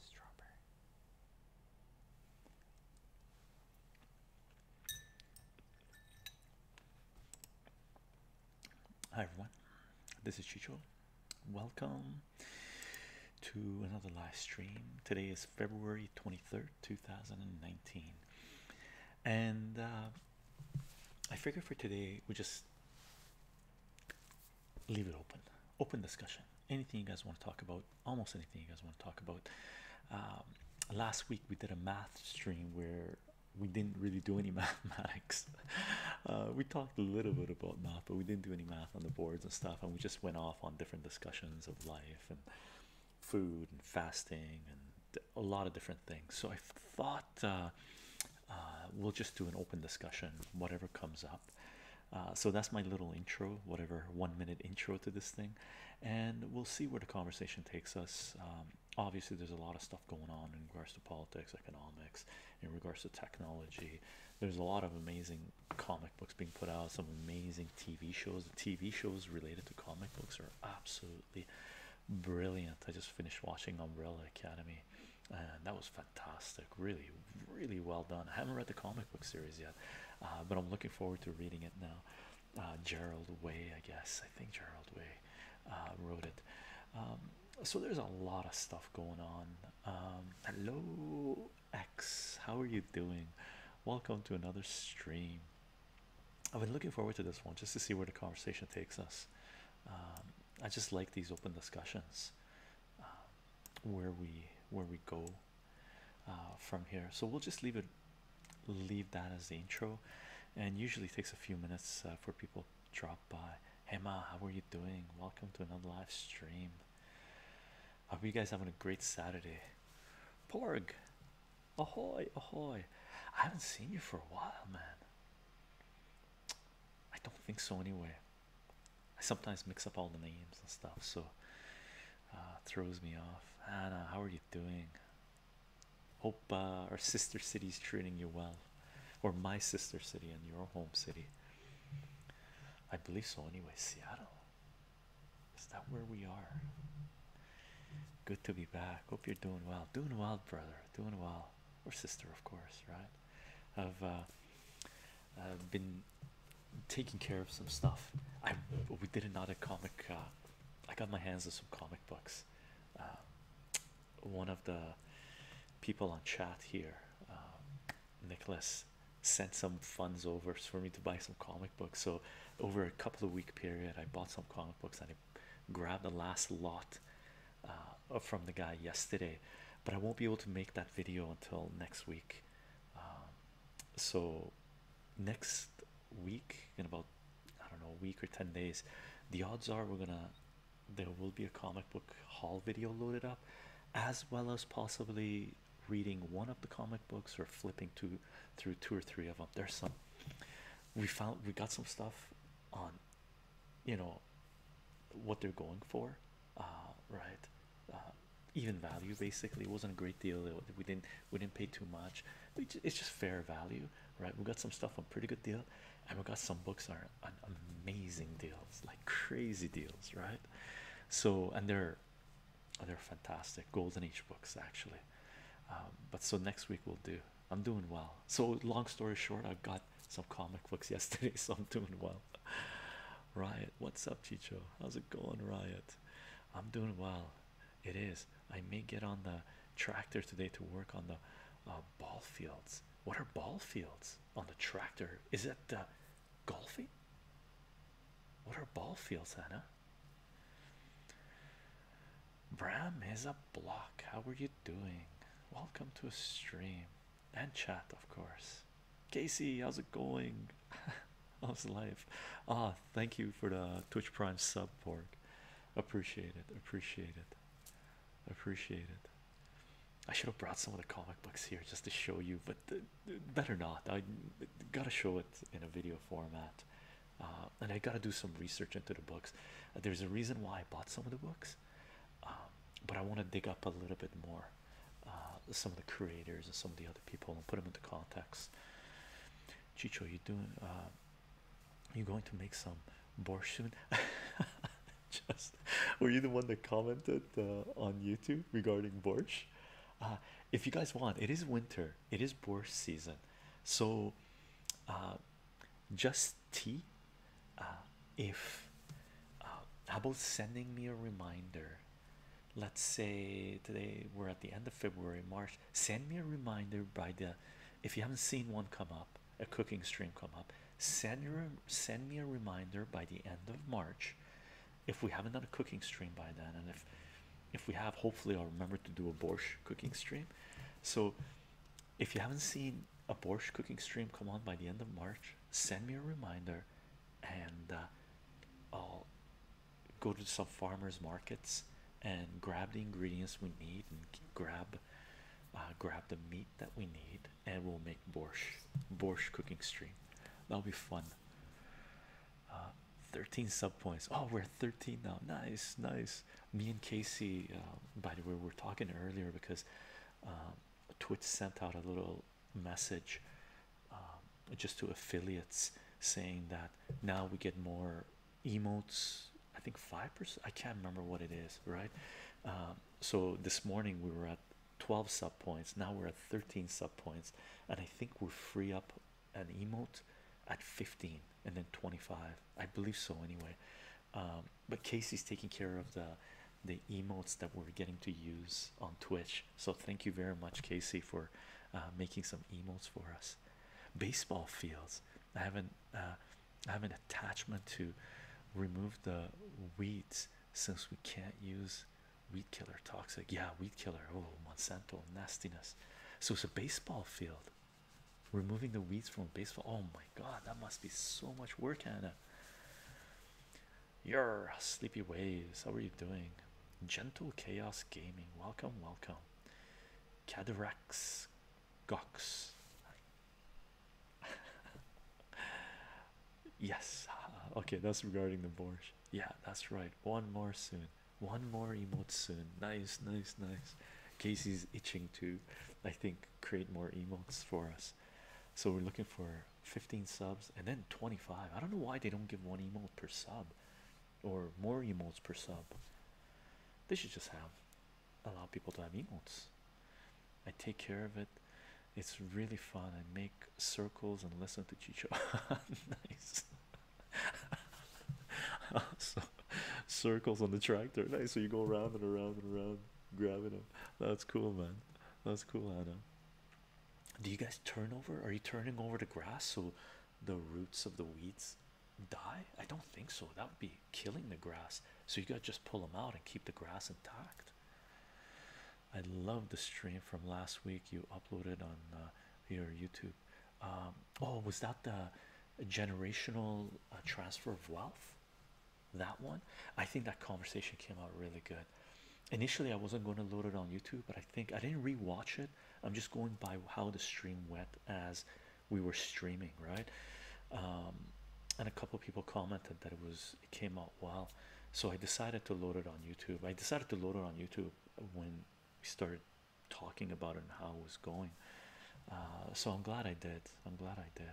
Strawberry. Hi everyone, this is Chicho. Welcome to another live stream. Today is February 23rd, 2019. And uh, I figure for today we just leave it open open discussion anything you guys want to talk about almost anything you guys want to talk about um, last week we did a math stream where we didn't really do any mathematics uh, we talked a little bit about math but we didn't do any math on the boards and stuff and we just went off on different discussions of life and food and fasting and a lot of different things so i thought uh, uh, we'll just do an open discussion whatever comes up uh, so that's my little intro, whatever one minute intro to this thing, and we'll see where the conversation takes us. Um, obviously, there's a lot of stuff going on in regards to politics, economics, in regards to technology. There's a lot of amazing comic books being put out, some amazing TV shows. The TV shows related to comic books are absolutely brilliant. I just finished watching Umbrella Academy that was fantastic. Really, really well done. I haven't read the comic book series yet, uh, but I'm looking forward to reading it now. Uh, Gerald Way, I guess. I think Gerald Way uh, wrote it. Um, so there's a lot of stuff going on. Um, hello, X. How are you doing? Welcome to another stream. I've been looking forward to this one just to see where the conversation takes us. Um, I just like these open discussions where we where we go uh, from here. So we'll just leave it, leave that as the intro, and usually takes a few minutes uh, for people to drop by. Hey Ma, how are you doing? Welcome to another live stream. Hope you guys having a great Saturday. Porg, ahoy, ahoy! I haven't seen you for a while, man. I don't think so anyway. I sometimes mix up all the names and stuff, so uh, throws me off. Anna, how are you doing? Hope uh, our sister city is treating you well, or my sister city and your home city. I believe so, anyway. Seattle. Is that where we are? Good to be back. Hope you're doing well. Doing well, brother. Doing well. Or sister, of course, right? I've uh, uh, been taking care of some stuff. I we did another comic. Uh, I got my hands on some comic books. one of the people on chat here, Nicholas, sent some funds over for me to buy some comic books. So over a couple of week period, I bought some comic books and I grabbed the last lot uh, uh, from the guy yesterday, but I won't be able to make that video until next week. Um, so next week in about I don't know a week or 10 days, the odds are we're gonna there will be a comic book haul video loaded up, as well as possibly reading one of the comic books or flipping two through two or three of them. There's some we found we got some stuff on you know what they're going for uh, right uh, even value basically it wasn't a great deal we didn't we didn't pay too much it's just fair value right we got some stuff on pretty good deal and we got some books are on amazing deals like crazy deals right so and they're they're fantastic golden age books actually um, but so next week we'll do i'm doing well so long story short i got some comic books yesterday so i'm doing well Riot, what's up, Chicho? How's it going, Riot? I'm doing well. It is. I may get on the tractor today to work on the uh, ball fields. What are ball fields on the tractor? Is it uh, golfing? What are ball fields, Hannah? Bram is a block. How are you doing? Welcome to a stream and chat, of course. Casey, how's it going? how's life? Ah, thank you for the Twitch Prime sub, Porg. Appreciate it, appreciate it, appreciate it. I should have brought some of the comic books here just to show you, but better not. I gotta show it in a video format, uh, and I gotta do some research into the books. There's a reason why I bought some of the books, um, but I want to dig up a little bit more uh, some of the creators and some of the other people and put them into context. Chicho, you doing? Uh, you going to make some borscht Just were you the one that commented uh, on YouTube regarding borscht? if you guys want, it is winter. It is borscht season, so just tea uh, if uh, how about sending me a reminder? Let's say today we're at the end of February, March. Send me a reminder by the if you haven't seen one come up, a cooking stream come up. Send your send me a reminder by the end of March. If we haven't done a cooking stream by then, and if if we have, hopefully I'll remember to do a borscht cooking stream. So if you haven't seen a borscht cooking stream come on by the end of March, send me a reminder and uh, I'll go to some farmers markets and grab the ingredients we need and grab uh, grab the meat that we need and we'll make borscht borscht cooking stream that'll be fun uh, 13 sub points oh we're 13 now nice nice me and Casey uh, by the way we are talking earlier because Twitch sent out a little message um, just to affiliates saying that now we get more emotes i think five percent i can't remember what it is right um, so this morning we were at 12 sub points now we're at 13 sub points and i think we're free up an emote at 15 and then 25 i believe so anyway um, but casey's taking care of the the emotes that we're getting to use on Twitch. So thank you very much, Casey, for uh, making some emotes for us. Baseball fields. I haven't uh, I have an attachment to remove the weeds since we can't use weed killer toxic. Yeah, weed killer. Oh, Monsanto nastiness. So it's a baseball field. Removing the weeds from baseball. Oh my god, that must be so much work, Anna your sleepy waves how are you doing gentle chaos gaming welcome welcome cadarax gox yes uh, okay that's regarding the borscht yeah that's right one more soon one more emote soon nice nice nice casey's itching to i think create more emotes for us so we're looking for 15 subs and then 25 i don't know why they don't give one emote per sub or more emotes per sub they should just have allow people to have emotes i take care of it it's really fun i make circles and listen to chicho nice so, circles on the tractor nice so you go around and around and around grabbing them that's cool man that's cool Anna do you guys turn over? Are you turning over the grass so the roots of the weeds die? I don't think so. That would be killing the grass. So you gotta just pull them out and keep the grass intact. I love the stream from last week you uploaded on uh, your YouTube. Um, oh, was that the generational uh, transfer of wealth? that one i think that conversation came out really good initially i wasn't going to load it on youtube but i think i didn't re-watch it i'm just going by how the stream went as we were streaming right um, and a couple people commented that it was it came out well so i decided to load it on youtube i decided to load it on youtube when we started talking about it and how it was going uh, so i'm glad i did i'm glad i did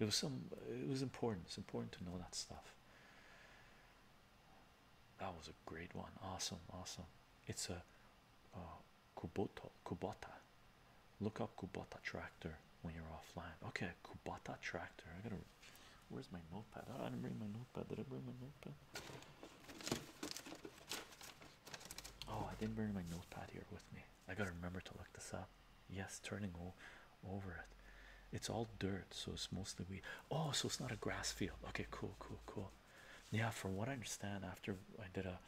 it was some. It was important. It's important to know that stuff. That was a great one. Awesome, awesome. It's a uh, Kubota. Kubota. Look up Kubota tractor when you're offline. Okay, Kubota tractor. I gotta. Where's my notepad? Oh, I didn't bring my notepad. Did I bring my notepad? Oh, I didn't bring my notepad here with me. I gotta remember to look this up. Yes, turning over it. It's all dirt, so it's mostly weed. Oh, so it's not a grass field. Okay, cool, cool, cool. Yeah, from what I understand, after I did a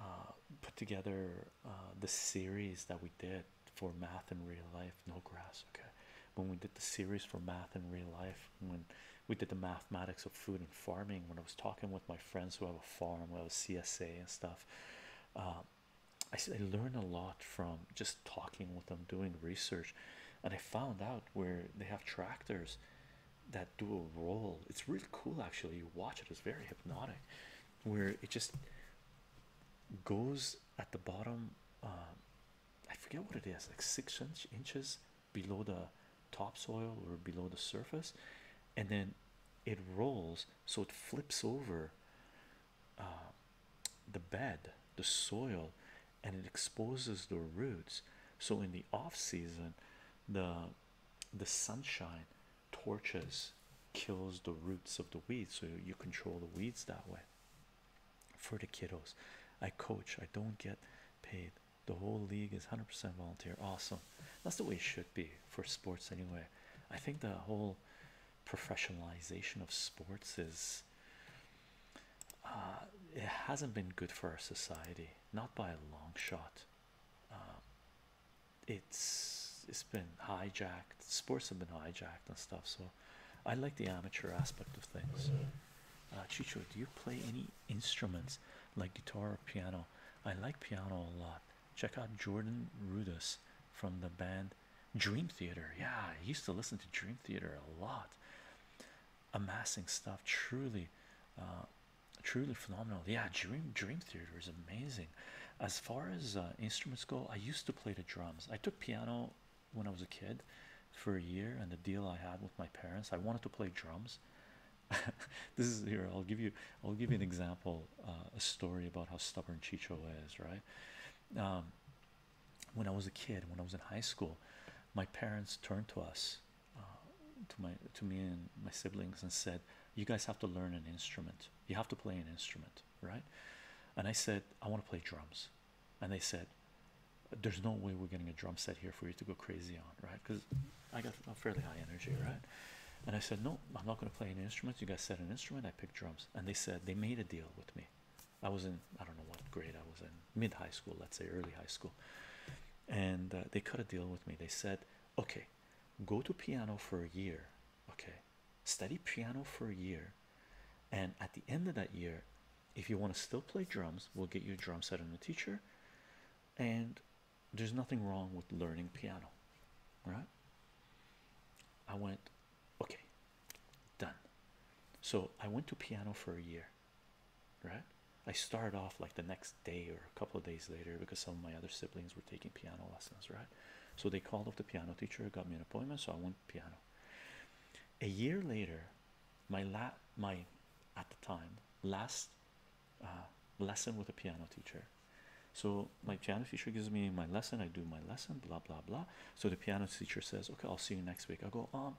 uh, put together uh, the series that we did for math in real life, no grass. Okay, when we did the series for math in real life, when we did the mathematics of food and farming, when I was talking with my friends who have a farm, where I was CSA and stuff. Uh, I said I learned a lot from just talking with them, doing research, and I found out where they have tractors that do a roll. It's really cool, actually. You watch it; it's very hypnotic, where it just goes at the bottom. Um, I forget what it is, like six inch, inches below the topsoil or below the surface, and then it rolls so it flips over uh, the bed, the soil, and it exposes the roots. So in the off season, the the sunshine torches kills the roots of the weeds, so you control the weeds that way. For the kiddos, I coach. I don't get paid. The whole league is 100% volunteer. Awesome. That's the way it should be for sports anyway. I think the whole professionalization of sports is uh, it hasn't been good for our society, not by a long shot. Um, it's it's been hijacked. Sports have been hijacked and stuff. So I like the amateur aspect of things. Uh, Chicho, do you play any instruments like guitar or piano? I like piano a lot. Check out Jordan Rudess from the band Dream Theater, yeah, I used to listen to Dream Theater a lot. Amassing stuff, truly, uh, truly phenomenal. Yeah, Dream Dream Theater is amazing. As far as uh, instruments go, I used to play the drums. I took piano when I was a kid for a year, and the deal I had with my parents, I wanted to play drums. this is here. I'll give you. I'll give you an example. Uh, a story about how stubborn Chicho is, right? Um, when I was a kid, when I was in high school, my parents turned to us, uh, to my to me and my siblings, and said, "You guys have to learn an instrument. You have to play an instrument, right?" And I said, "I want to play drums," and they said, "There's no way we're getting a drum set here for you to go crazy on, right?" Because I got a fairly high energy, right? And I said, "No, I'm not going to play an instrument. You guys said an instrument. I picked drums." And they said they made a deal with me. I was in I don't know what grade I was in mid high school, let's say early high school, and uh, they cut a deal with me. They said, "Okay, go to piano for a year. Okay, study piano for a year, and at the end of that year, if you want to still play drums, we'll get you a drum set and a teacher. And there's nothing wrong with learning piano, right?" I went, Okay, done. So I went to piano for a year, right? I started off like the next day or a couple of days later because some of my other siblings were taking piano lessons, right? So they called up the piano teacher, got me an appointment, so I went piano. A year later, my la my at the time last uh, lesson with a piano teacher. So my piano teacher gives me my lesson. I do my lesson, blah blah blah. So the piano teacher says, Okay, I'll see you next week. I go, Um,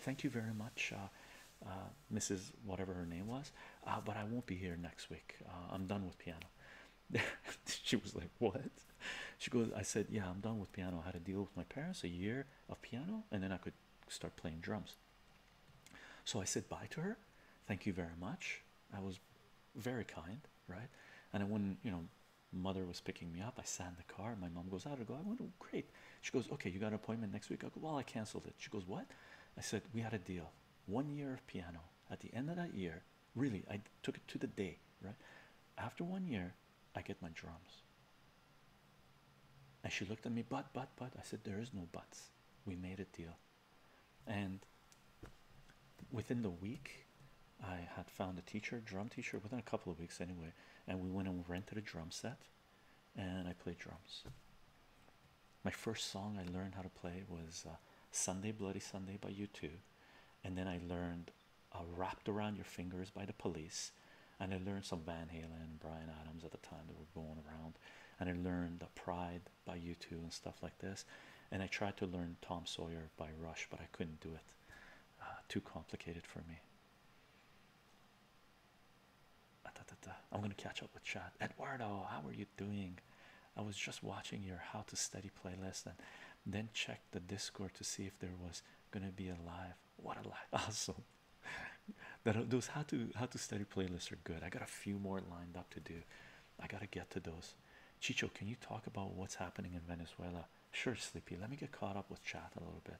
thank you very much, uh, uh, Mrs. Whatever her name was, uh, but I won't be here next week. I'm done with piano. she was like, What? She goes, I said, Yeah, I'm done with piano. I had to deal with my parents a year of piano, and then I could start playing drums. So I said bye to her. Thank you very much. I was very kind, right? And I wouldn't, you know, mother was picking me up. I sat in the car. My mom goes out. I go, I went, oh, great. She goes, okay, you got an appointment next week. I go, well, I canceled it. She goes, what? I said, we had a deal. One year of piano. At the end of that year, really, I took it to the day, right? After one year, I get my drums. And she looked at me, but, but, but. I said, there is no buts. We made a deal. And within the week, I had found a teacher, drum teacher, within a couple of weeks anyway, and we went and rented a drum set, and I played drums. My first song I learned how to play was uh, "Sunday Bloody Sunday" by U2, and then I learned uh, "Wrapped Around Your Fingers" by the Police, and I learned some Van Halen, and Brian Adams at the time that were going around, and I learned uh, "Pride" by U2 and stuff like this, and I tried to learn Tom Sawyer by Rush, but I couldn't do it. Uh, too complicated for me. Ah, I'm gonna catch up with Chad. Eduardo, how are you doing? I was just watching your How to Study playlist and then checked the Discord to see if there was gonna be a live. What a live! Awesome. that those How to How to Study playlists are good. I got a few more lined up to do. I gotta get to those. Chicho, can you talk about what's happening in Venezuela? Sure, sleepy. Let me get caught up with chat a little bit.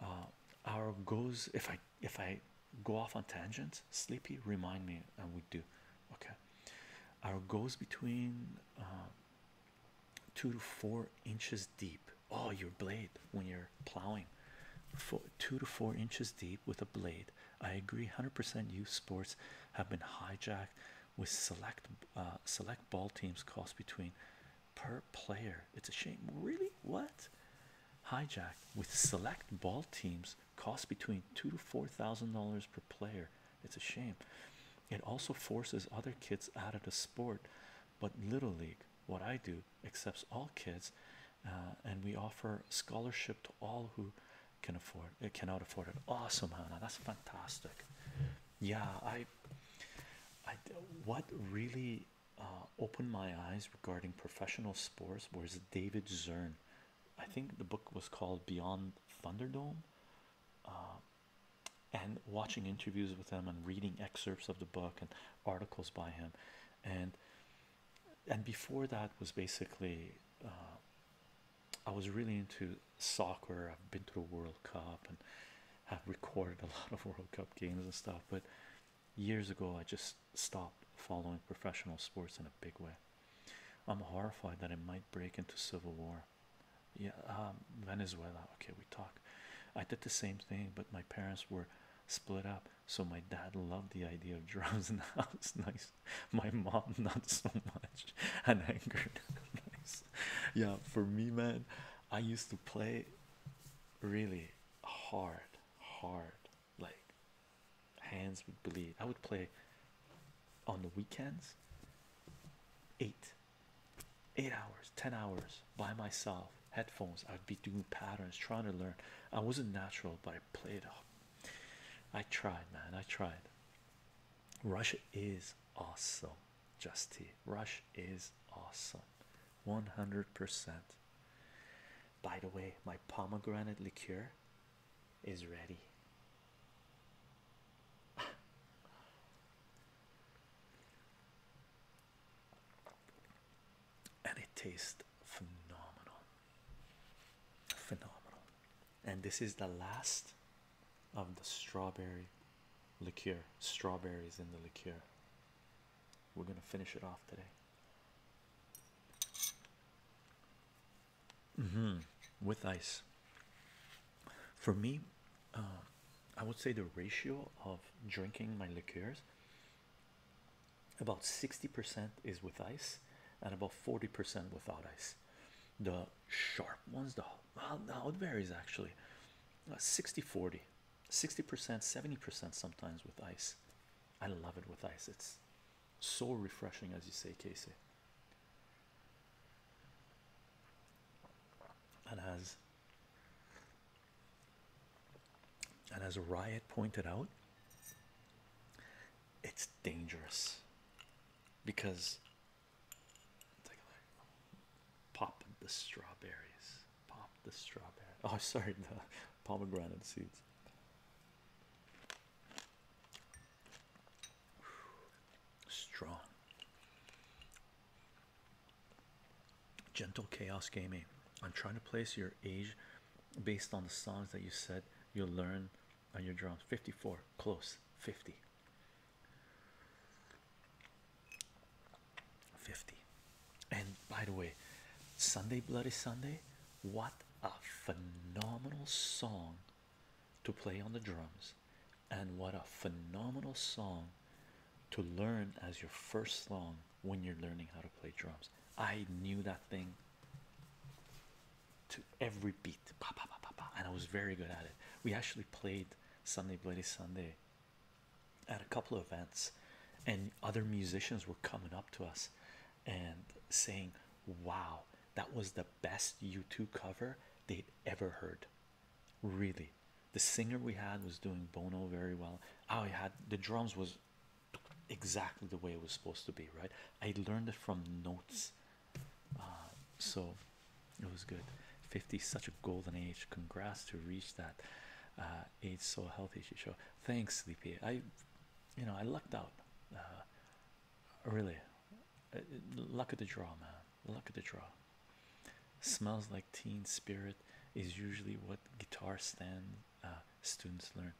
Uh, our goes if I if I go off on tangents, sleepy. Remind me, and we do. Okay, our goes between uh, two to four inches deep. Oh, your blade when you're plowing, four, two to four inches deep with a blade. I agree, hundred percent. Youth sports have been hijacked with select uh, select ball teams cost between per player. It's a shame. Really? What? Hijack with select ball teams cost between two to four thousand dollars per player. It's a shame. It also forces other kids out of the sport, but Little League, what I do, accepts all kids, uh, and we offer scholarship to all who can afford it uh, cannot afford it. Awesome, Hannah. That's fantastic yeah i i what really uh, opened my eyes regarding professional sports was david zern i think the book was called beyond thunderdome uh, and watching interviews with him and reading excerpts of the book and articles by him and and before that was basically uh, I was really into soccer. I've been to the World Cup and have recorded a lot of World Cup games and stuff. But years ago, I just stopped following professional sports in a big way. I'm horrified that it might break into civil war. Yeah, um, Venezuela. Okay, we talk. I did the same thing, but my parents were split up, so my dad loved the idea of drums in the house. Nice, my mom not so much, and angered. nice. yeah for me man i used to play really hard hard like hands would bleed i would play on the weekends eight eight hours ten hours by myself headphones i'd be doing patterns trying to learn i wasn't natural but i played up i tried man i tried russia is awesome just T. Rush is awesome. 100%. By the way, my pomegranate liqueur is ready. and it tastes phenomenal. Phenomenal and this is the last of the strawberry liqueur strawberries in the liqueur we're going to finish it off today mm -hmm. with ice for me um, i would say the ratio of drinking my liqueurs about 60% is with ice and about 40% without ice the sharp one's the well now it varies actually uh, 60 40 60 percent 70 percent sometimes with ice i love it with ice it's so refreshing as you say casey and as and as riot pointed out it's dangerous because Pop the strawberries. Pop the strawberry. Oh, sorry, the pomegranate seeds. Strong. Gentle Chaos Gaming. I'm trying to place your age based on the songs that you said you'll learn on your drums. 54. Close. 50. 50. And by the way, Sunday Bloody Sunday, what a phenomenal song to play on the drums, and what a phenomenal song to learn as your first song when you're learning how to play drums. I knew that thing to every beat, and I was very good at it. We actually played Sunday Bloody Sunday at a couple of events, and other musicians were coming up to us and saying, Wow, that was the best U2 cover they'd ever heard. Really, the singer we had was doing Bono very well. I had the drums was exactly the way it was supposed to be, right? I learned it from notes uh, so it was good. 50 such a golden age. Congrats to reach that uh, age so healthy. She show thanks, Sleepy. I, you know, I lucked out. Uh, really, luck of the draw, man. Luck of the draw. Smells like teen spirit is usually what guitar stand students learn.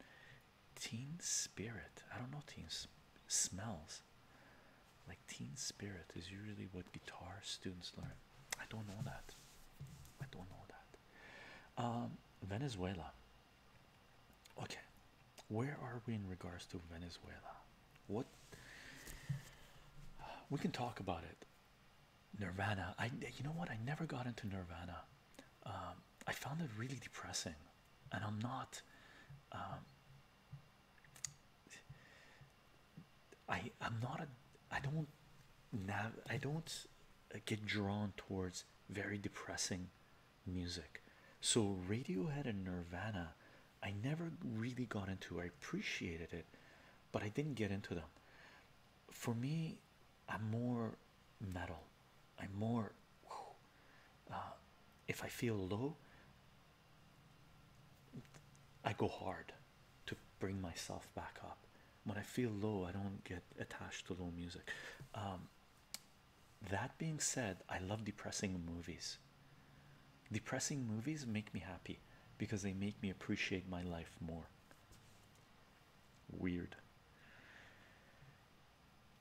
Teen spirit. I don't know. Teen smells like teen spirit is usually what guitar students learn. I don't know that. I don't know that. Um, Venezuela. Okay, where are we in regards to Venezuela? What we can talk about it. Nirvana. I you know what? I never got into Nirvana. Um, I found it really depressing, and I'm not. Um, I I'm not a I don't now I don't get drawn towards very depressing music. So Radiohead and Nirvana, I never really got into. I appreciated it, but I didn't get into them. For me, I'm more metal. I'm more. Uh, if I feel low, I go hard to bring myself back up. When I feel low, I don't get attached to low music. Um, that being said, I love depressing movies. Depressing movies make me happy because they make me appreciate my life more. Weird.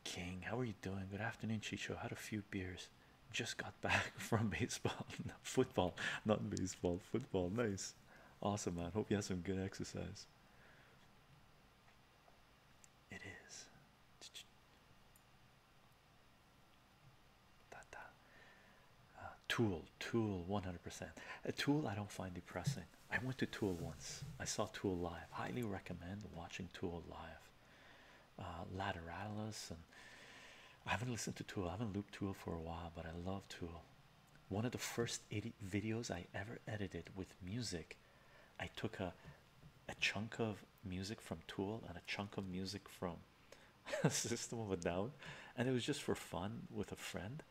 King, how are you doing? Good afternoon, Chicho. Had a few beers. Just got back from baseball, football, not baseball, football. Nice, awesome, man. Hope you had some good exercise. It is. Uh, tool, Tool, 100%. A Tool I don't find depressing. I went to Tool once. I saw Tool live. Highly recommend watching Tool live uh, Lateralis, and I haven't listened to Tool. I haven't looped Tool for a while, but I love Tool. One of the first videos I ever edited with music, I took a a chunk of music from Tool and a chunk of music from System of a Down, and it was just for fun with a friend,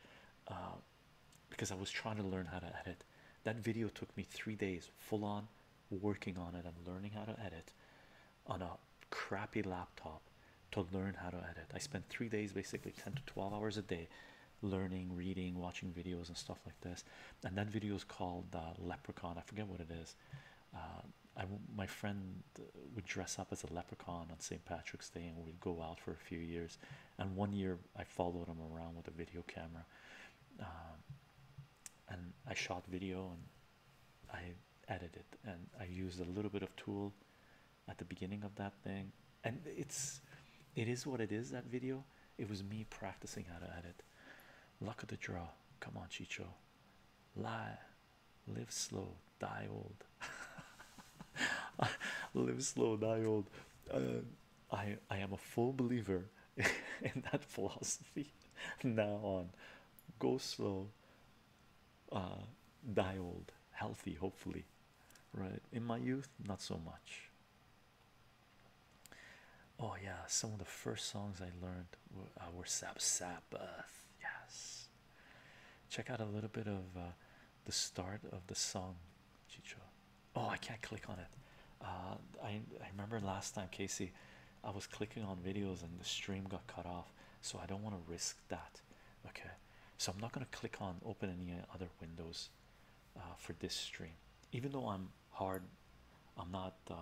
uh, because I was trying to learn how to edit. That video took me three days, full on working on it and learning how to edit on a crappy laptop to learn how to edit. I spent three days, basically 10 to 12 hours a day, learning, reading, watching videos, and stuff like this. And that video is called Leprechaun. I forget what it is. Uh, I my friend would dress up as a leprechaun on St. Patrick's Day, and we'd go out for a few years. And one year, I followed him around with a video camera, um, and I shot video and I edited and I used a little bit of tool at the beginning of that thing, and it's it is what it is. That video, it was me practicing how to edit. Luck of the draw. Come on, Chicho. Lie, live slow, die old. live slow, die old. Uh, I I am a full believer in that philosophy. Now on, go slow, uh, die old healthy, hopefully. Right in my youth, not so much. Oh, yeah, some of the first songs I learned were, uh, were Yes, check out a little bit of uh, the start of the song, Chicho. Oh, I can't click on it. Uh, I, I remember last time, Casey, I was clicking on videos and the stream got cut off, so I don't want to risk that. Okay, so I'm not going to click on open any other windows uh, for this stream, even though I'm hard, I'm not uh,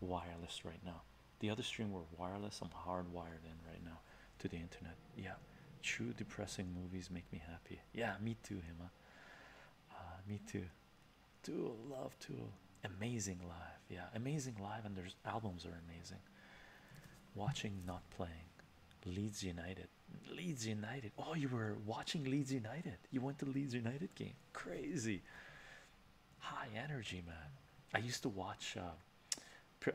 wireless right now. The other stream were wireless, I'm hard wired in right now to the internet. Yeah, true depressing movies make me happy. Yeah, me too, Hima. Uh, me too. Tool, love tool amazing live yeah amazing live and their albums are amazing watching not playing leeds united leeds united oh you were watching leeds united you went to leeds united game crazy high energy man i used to watch uh, uh,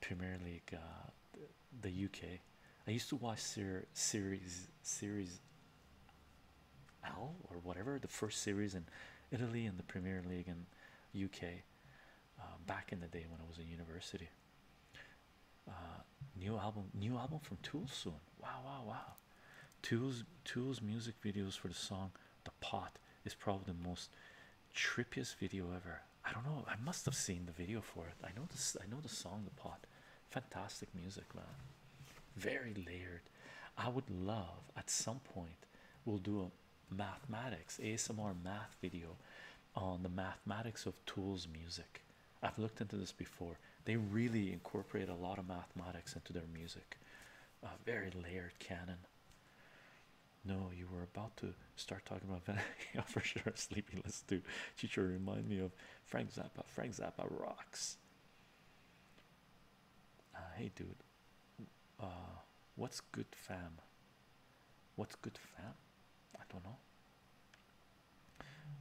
premier league uh, the uk i used to watch ser series series L or whatever the first series in Italy and the Premier League and UK um, back in the day when I was in university. Uh, new album, new album from Tool soon. Wow, wow, wow. Tool's Tool's music videos for the song "The Pot" is probably the most trippiest video ever. I don't know. I must have seen the video for it. I know this. I know the song "The Pot." Fantastic music, man. Very layered. I would love at some point we'll do a mathematics ASMR math video on the mathematics of tools music. I've looked into this before. They really incorporate a lot of mathematics into their music. A very layered canon. No, you were about to start talking about Venom. yeah, for sure. Sleepy, let's do. Teacher, remind me of Frank Zappa. Frank Zappa rocks. Uh, hey, dude uh, what's good fam? What's good fam? I don't know.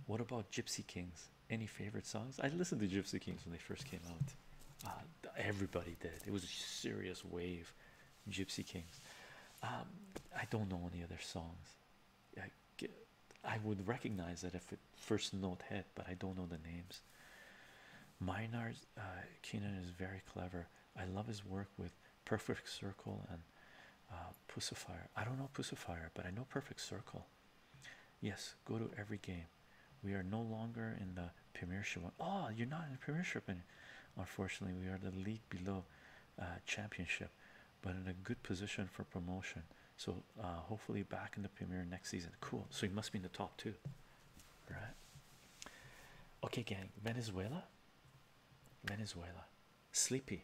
What about Gypsy Kings? Any favorite songs? I listened to Gypsy Kings when they first came out. Uh, everybody did. It was a serious wave. Gypsy Kings. Um, I don't know any other songs. I, I would recognize that if it first note hit, but I don't know the names. Yes, uh, Keenan is very clever. I love his work with Perfect Circle and uh, Pussifier. I don't know Pussifier, but I know Perfect Circle. Yes, go to every game. We are no longer in the Premiership. Oh, you're not in the Premiership, and unfortunately, we are the league below uh, Championship, but in a good position for promotion. So hopefully, back in the Premier next season. Cool. So you must be in the top two right? Okay, gang, Venezuela, Venezuela, sleepy.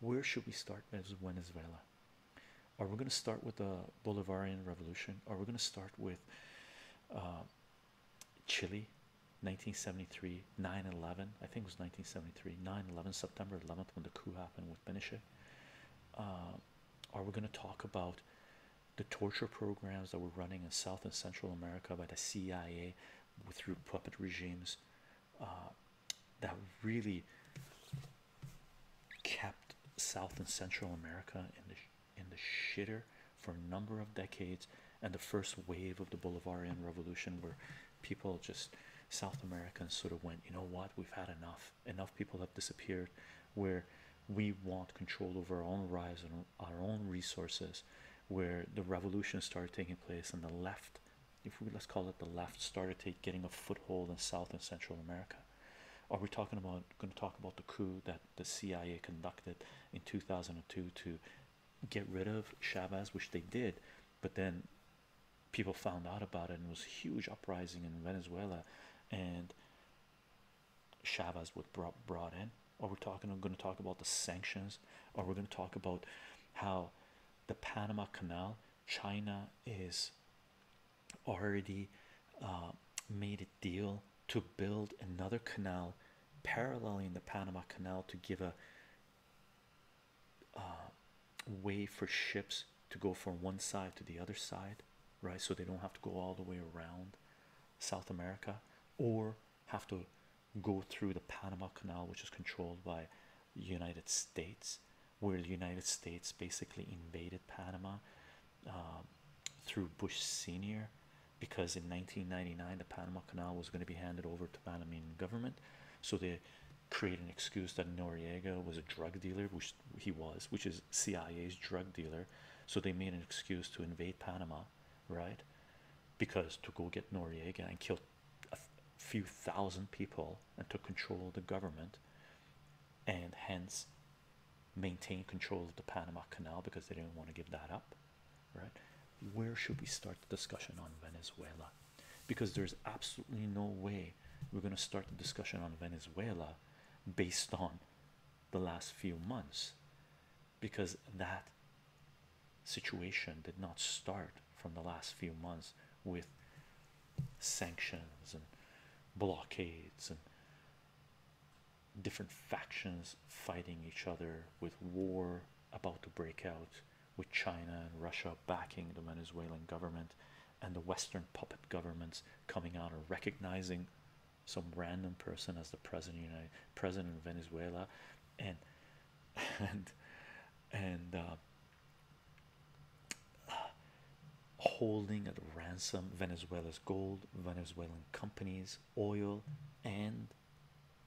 Where should we start Venezuela? Are we going to start with the Bolivarian Revolution? Are we going to start with uh, Chile, 1973, 9 11? I think it was 1973, 9 11, September 11th, when the coup happened with Pinochet. Uh, are we going to talk about the torture programs that were running in South and Central America by the CIA through puppet regimes uh, that really kept South and Central America in the in the shitter for a number of decades, and the first wave of the Bolivarian Revolution, where people just South Americans sort of went, you know what, we've had enough. Enough people have disappeared. Where we want control over our own lives and our own resources where the revolution started taking place and the left if we let's call it the left started to getting a foothold in south and central america are we talking about going to talk about the coup that the cia conducted in 2002 to get rid of chavez which they did but then people found out about it and it was a huge uprising in venezuela and Shavas was brought brought in, or we're talking. I'm going to talk about the sanctions, or we're going to talk about how the Panama Canal, China is already uh, made a deal to build another canal paralleling the Panama Canal to give a uh, way for ships to go from one side to the other side, right? So they don't have to go all the way around South America or have to go through the Panama Canal, which is controlled by the United States, where the United States basically invaded Panama um, through Bush Senior, because in 1999 the Panama Canal was going to be handed over to the Panamanian government, so they create an excuse that Noriega was a drug dealer, which he was, which is CIA's drug dealer. So they made an excuse to invade Panama right? Because to go get Noriega and kill a few thousand people and to control the government and hence maintain control of the Panama Canal because they didn't want to give that up, right? Where should we start the discussion on Venezuela? Because there's absolutely no way we're going to start the discussion on Venezuela based on the last few months because that situation did not start from the last few months with sanctions and blockades and different factions fighting each other with war about to break out with China and Russia backing the Venezuelan government and the Western puppet governments coming out and recognizing some random person as the president president of Venezuela and and and uh, holding at ransom Venezuela's gold, Venezuelan companies, oil, and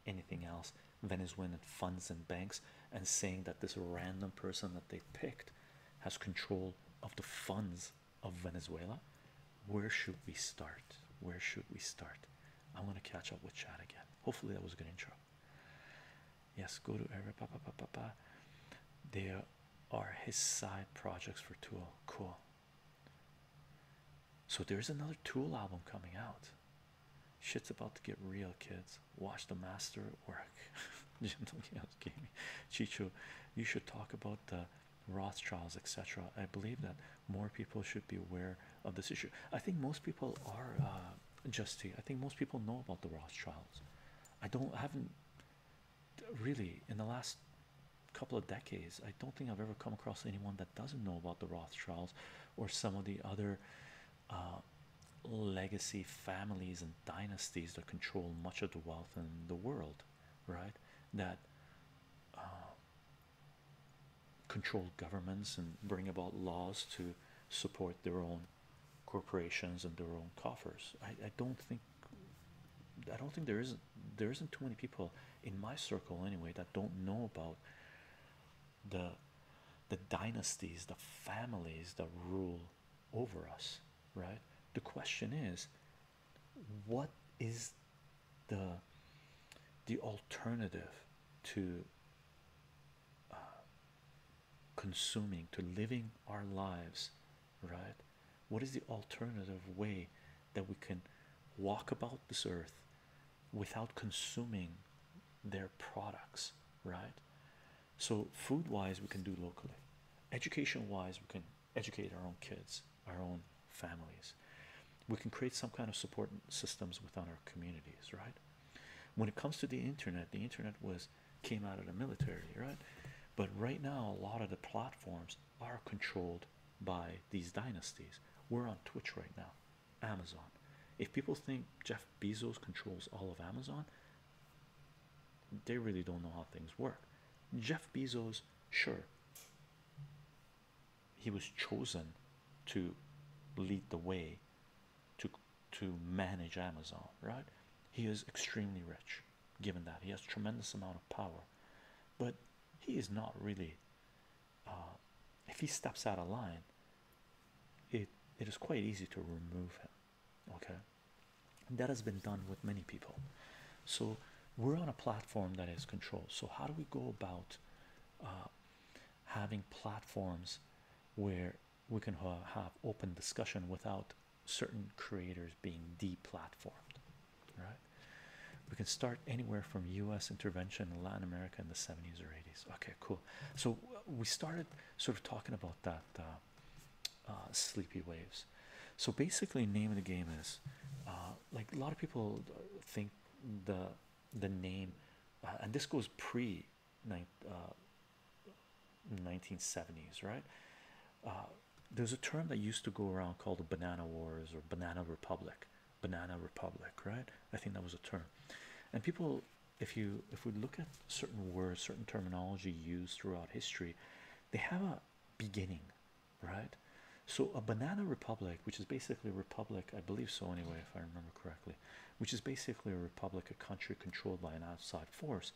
anything else, Venezuelan funds and banks, and saying that this random person that they picked has control of the funds of Venezuela. Where should we start? Where should we start? I'm gonna catch up with Chad again. Hopefully that was a good intro. Yes, go to Arab. There are his side projects for Tool. Cool. So there's another Tool album coming out. Shit's about to get real, kids. Watch the master at work. Chicho, you should talk about the Rothschilds, etc. I believe that more people should be aware of this issue. I think most people are uh, just I think most people know about the Rothschilds. I don't haven't really in the last couple of decades. I don't think I've ever come across anyone that doesn't know about the Rothschilds or some of the other uh, legacy families and dynasties that control much of the wealth in the world, right? That uh, control governments and bring about laws to support their own corporations and their own coffers. I, I don't think I don't think there there isn't too many people in my circle anyway that don't know about the the dynasties, the families that rule over us, right? The question is what is the the alternative to uh, consuming to living our lives right what is the alternative way that we can walk about this earth without consuming their products right so food wise we can do locally education wise we can educate our own kids, our own families. We can create some kind of support systems within our communities, right? When it comes to the internet, the internet was came out of the military, right? But right now, a lot of the platforms are controlled by these dynasties. We're on Twitch right now, Amazon. If people think Jeff Bezos controls all of Amazon, they really don't know how things work. Jeff Bezos, sure, he was chosen to lead the way to to manage Amazon, right? He is extremely rich given that he has tremendous amount of power, but he is not really uh, if he steps out of line, it it is quite easy to remove him, okay, that has been done with many people. So we're on a platform that is controlled. So how do we go about uh, having platforms where we can have open discussion without certain creators being deplatformed? Right? We can start anywhere from U.S. intervention in Latin America in the 70s or 80s. Okay, cool. So uh, we started sort of talking about that. Uh, sleepy waves. So basically, name of the game is uh, like a lot of people uh, think the the name uh, and this goes pre 1970s right there's a term that used to go around called the banana wars or banana republic banana republic right i think that was a term and people if you if we look at certain words certain terminology used throughout history they have a beginning right? So a banana republic, which is basically a republic, I believe so anyway, if I remember correctly, which is basically a republic, a country controlled by an outside force.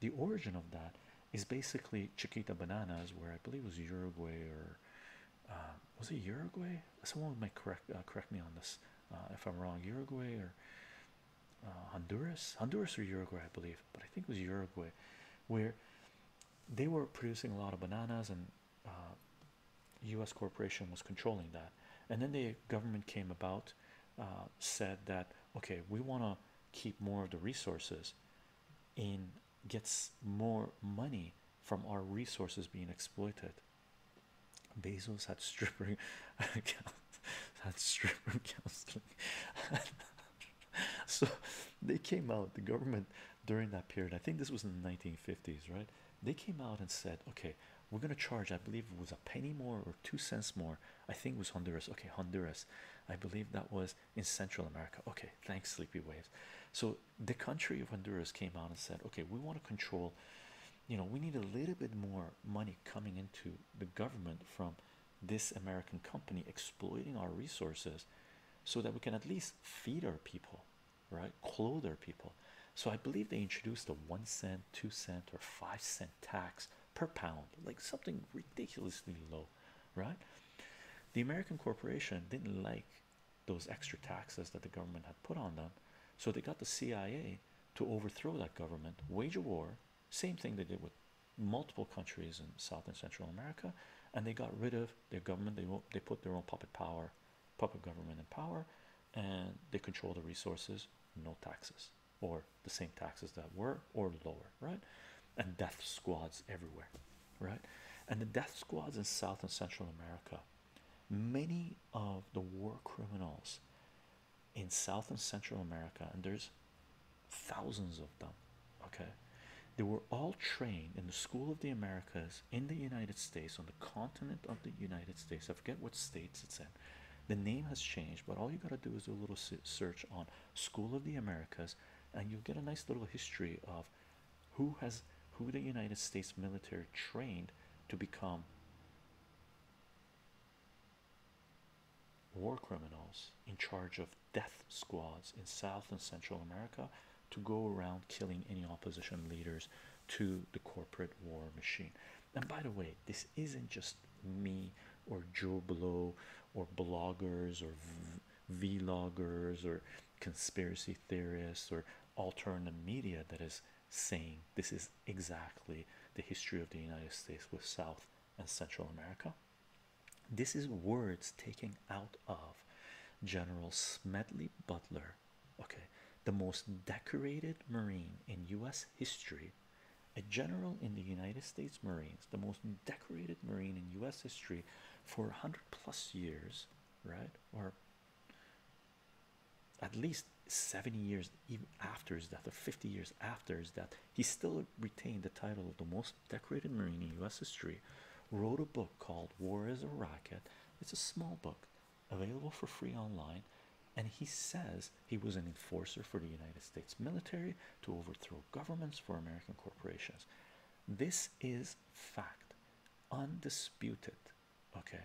The origin of that is basically Chiquita Bananas, where I believe it was Uruguay or uh, was it Uruguay? Someone might correct uh, correct me on this uh, if I'm wrong. Uruguay or Honduras, Honduras or Uruguay, I believe, but I think it was Uruguay, where they were producing a lot of bananas and U.S. Uh, corporation was controlling that, and then the government came about, uh, said that okay, we want to keep more of the resources, and gets more money from our resources being exploited. Bezos had stripper, had stripper counseling. so they came out. The government during that period. I think this was in the 1950s, right? They came out and said, okay, we're going to charge, I believe it was a penny more or two cents more. I think it was Honduras. Okay, Honduras. I believe that was in Central America. Okay, thanks, Sleepy Waves. So the country of Honduras came out and said, okay, we want to control, you know, we need a little bit more money coming into the government from this American company exploiting our resources so that we can at least feed our people, right? Clothe our people. So I believe they introduced a one cent, two cent, or five cent tax per pound, like something ridiculously low, right? The American corporation didn't like those extra taxes that the government had put on them, so they got the CIA to overthrow that government, wage a war, same thing they did with multiple countries in South and Central America, and they got rid of their government they they put their own puppet power puppet government in power and they control the resources no taxes or the same taxes that were or lower right and death squads everywhere right and the death squads in south and central america many of the war criminals in south and central america and there's thousands of them Okay, they were all trained in the School of the Americas in the United States on the continent of the United States. I forget what states it's in. The name has changed, but all you gotta do is do a little search on School of the Americas, and you'll get a nice little history of who has who the United States military trained to become war criminals in charge of death squads in South and Central America to go around killing any opposition leaders to the corporate war machine. And by the way, this isn't just me or Joe Blow or bloggers or vloggers or conspiracy theorists or alternative media that is saying this is exactly the history of the United States with South and Central America. This is words taken out of General Smedley Butler, okay, the most decorated Marine in U.S. history, a general in the United States Marines, the most decorated Marine in U.S. history for 100 plus years, right? Or at least 70 years even after his death, or 50 years after his death, he still retained the title of the most decorated Marine in U.S. history wrote a book called War is a Racket. It's a small book available for free online. And he says he was an enforcer for the United States military to overthrow governments for American corporations. This is fact, undisputed. Okay,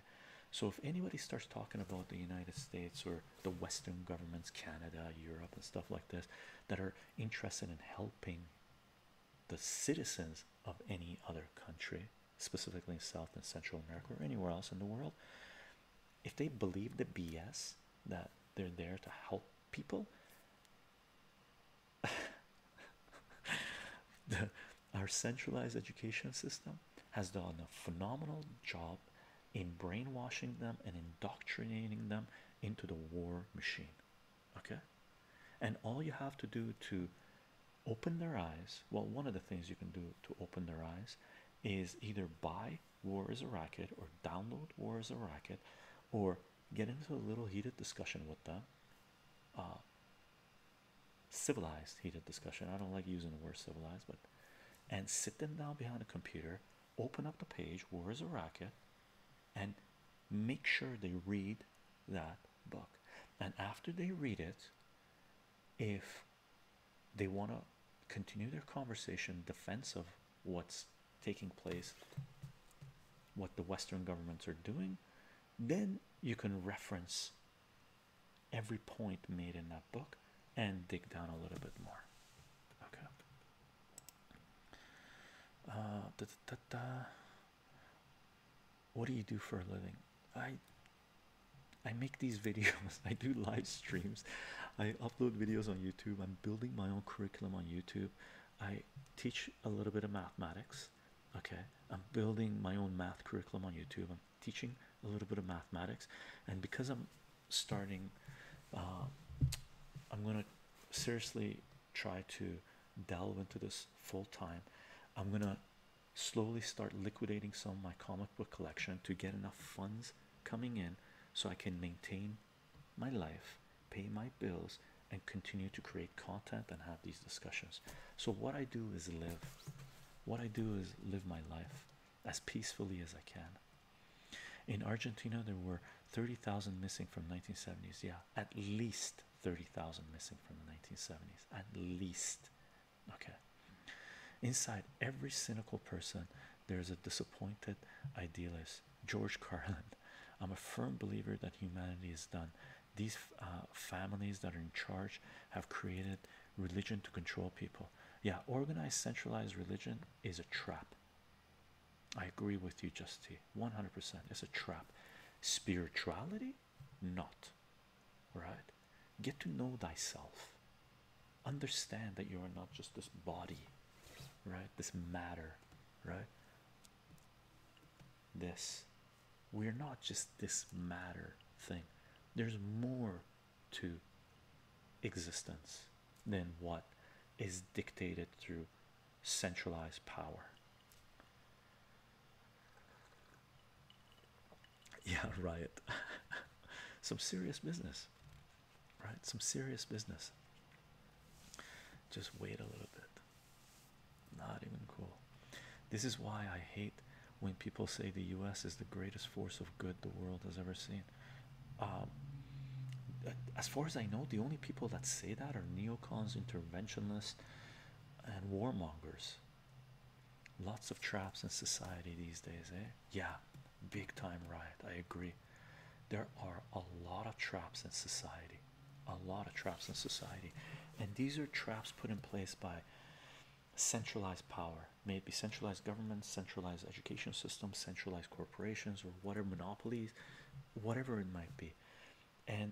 so if anybody starts talking about the United States or the Western governments, Canada, Europe, and stuff like this, that are interested in helping the citizens of any other country, specifically in South and Central America or anywhere else in the world, if they believe the BS that they're there to help people, our centralized education system has done a phenomenal job in brainwashing them and indoctrinating them into the war machine okay and all you have to do to open their eyes well one of the things you can do to open their eyes is either buy war is a racket or download war is a racket or get into a little heated discussion with them uh, civilized heated discussion i don't like using the word civilized but and sit them down behind a computer open up the page war is a racket and make sure they read that book. And after they read it, if they want to continue their conversation, defense of what's taking place, what the Western governments are doing, then you can reference every point made in that book and dig down a little bit more. Okay. Uh, da, da, da, what do you do for a living? I I make these videos. I do live streams. I upload videos on YouTube. I'm building my own curriculum on YouTube. I teach a little bit of mathematics. Okay. I'm building my own math curriculum on YouTube. I'm teaching a little bit of mathematics. And because I'm starting, uh, I'm going to seriously try to delve into this full time. I'm gonna slowly start liquidating some of my comic book collection to get enough funds coming in so I can maintain my life, pay my bills, and continue to create content and have these discussions. So, what I do is live, what I do is live my life as peacefully as I can. In Argentina, there were 30,000 missing from 1970s. Yeah, at least 30,000 missing from the 1970s at least. Okay, inside every cynical person, there's a disappointed idealist. George Carlin, I'm a firm believer that humanity is done. These uh, families that are in charge have created religion to control people. Yeah, organized centralized religion is a trap. I agree with you, Just 100% it's a trap spirituality not right get to know thyself understand that you are not just this body right this matter right this we're not just this matter thing there's more to existence than what is dictated through centralized power Yeah, riot. Some serious business, right? Some serious business. Just wait a little bit. Not even cool. This is why I hate when people say the US is the greatest force of good the world has ever seen. Um, as far as I know, the only people that say that are neocons, interventionists, and warmongers. Lots of traps in society these days, eh? Yeah, big time riot. I agree. There are a lot of traps in society, a lot of traps in society, and these are traps put in place by centralized power, may it be centralized government, centralized education system, centralized corporations, or whatever monopolies, whatever it might be. And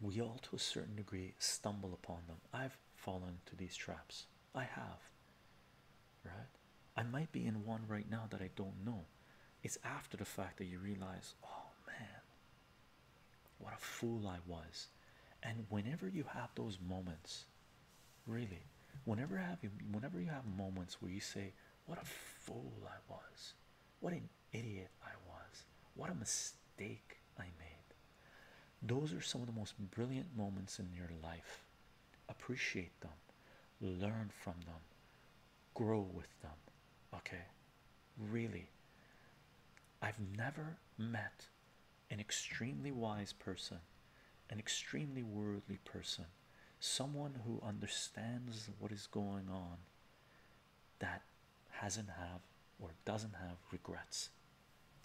we all to a certain degree stumble upon them. I've fallen into these traps. I have. Right? I might be in one right now that I don't know. It's after the fact that you realize, oh man, what a fool I was. And whenever you have those moments, really, whenever have you, whenever you have moments where you say, what a fool I was, what an idiot I was. What a mistake I made. Those are some of the most brilliant moments in your life. Appreciate them, learn from them, grow with them. Okay, really. I've never met an extremely wise person, an extremely worldly person, someone who understands what is going on that hasn't have or doesn't have regrets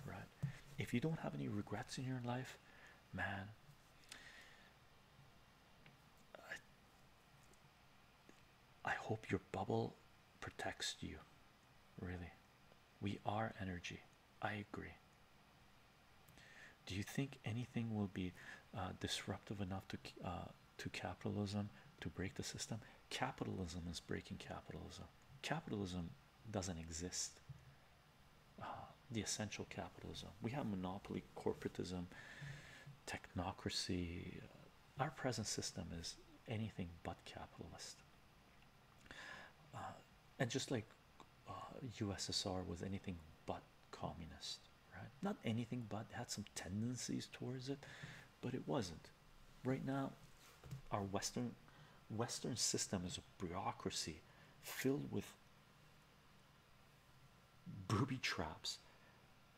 right if you don't have any regrets in your life man I, hope your bubble protects you really we are energy i agree do you think anything will be uh, disruptive enough to uh, to capitalism to break the system. Capitalism is breaking capitalism. Capitalism doesn't exist. Uh, the essential capitalism. We have monopoly, corporatism, technocracy. Our present system is anything but capitalist. Uh, and just like USSR uh, was anything but communist, right? Not anything but had some tendencies towards it, but it wasn't. Right now, our Western Western system is a bureaucracy filled with booby traps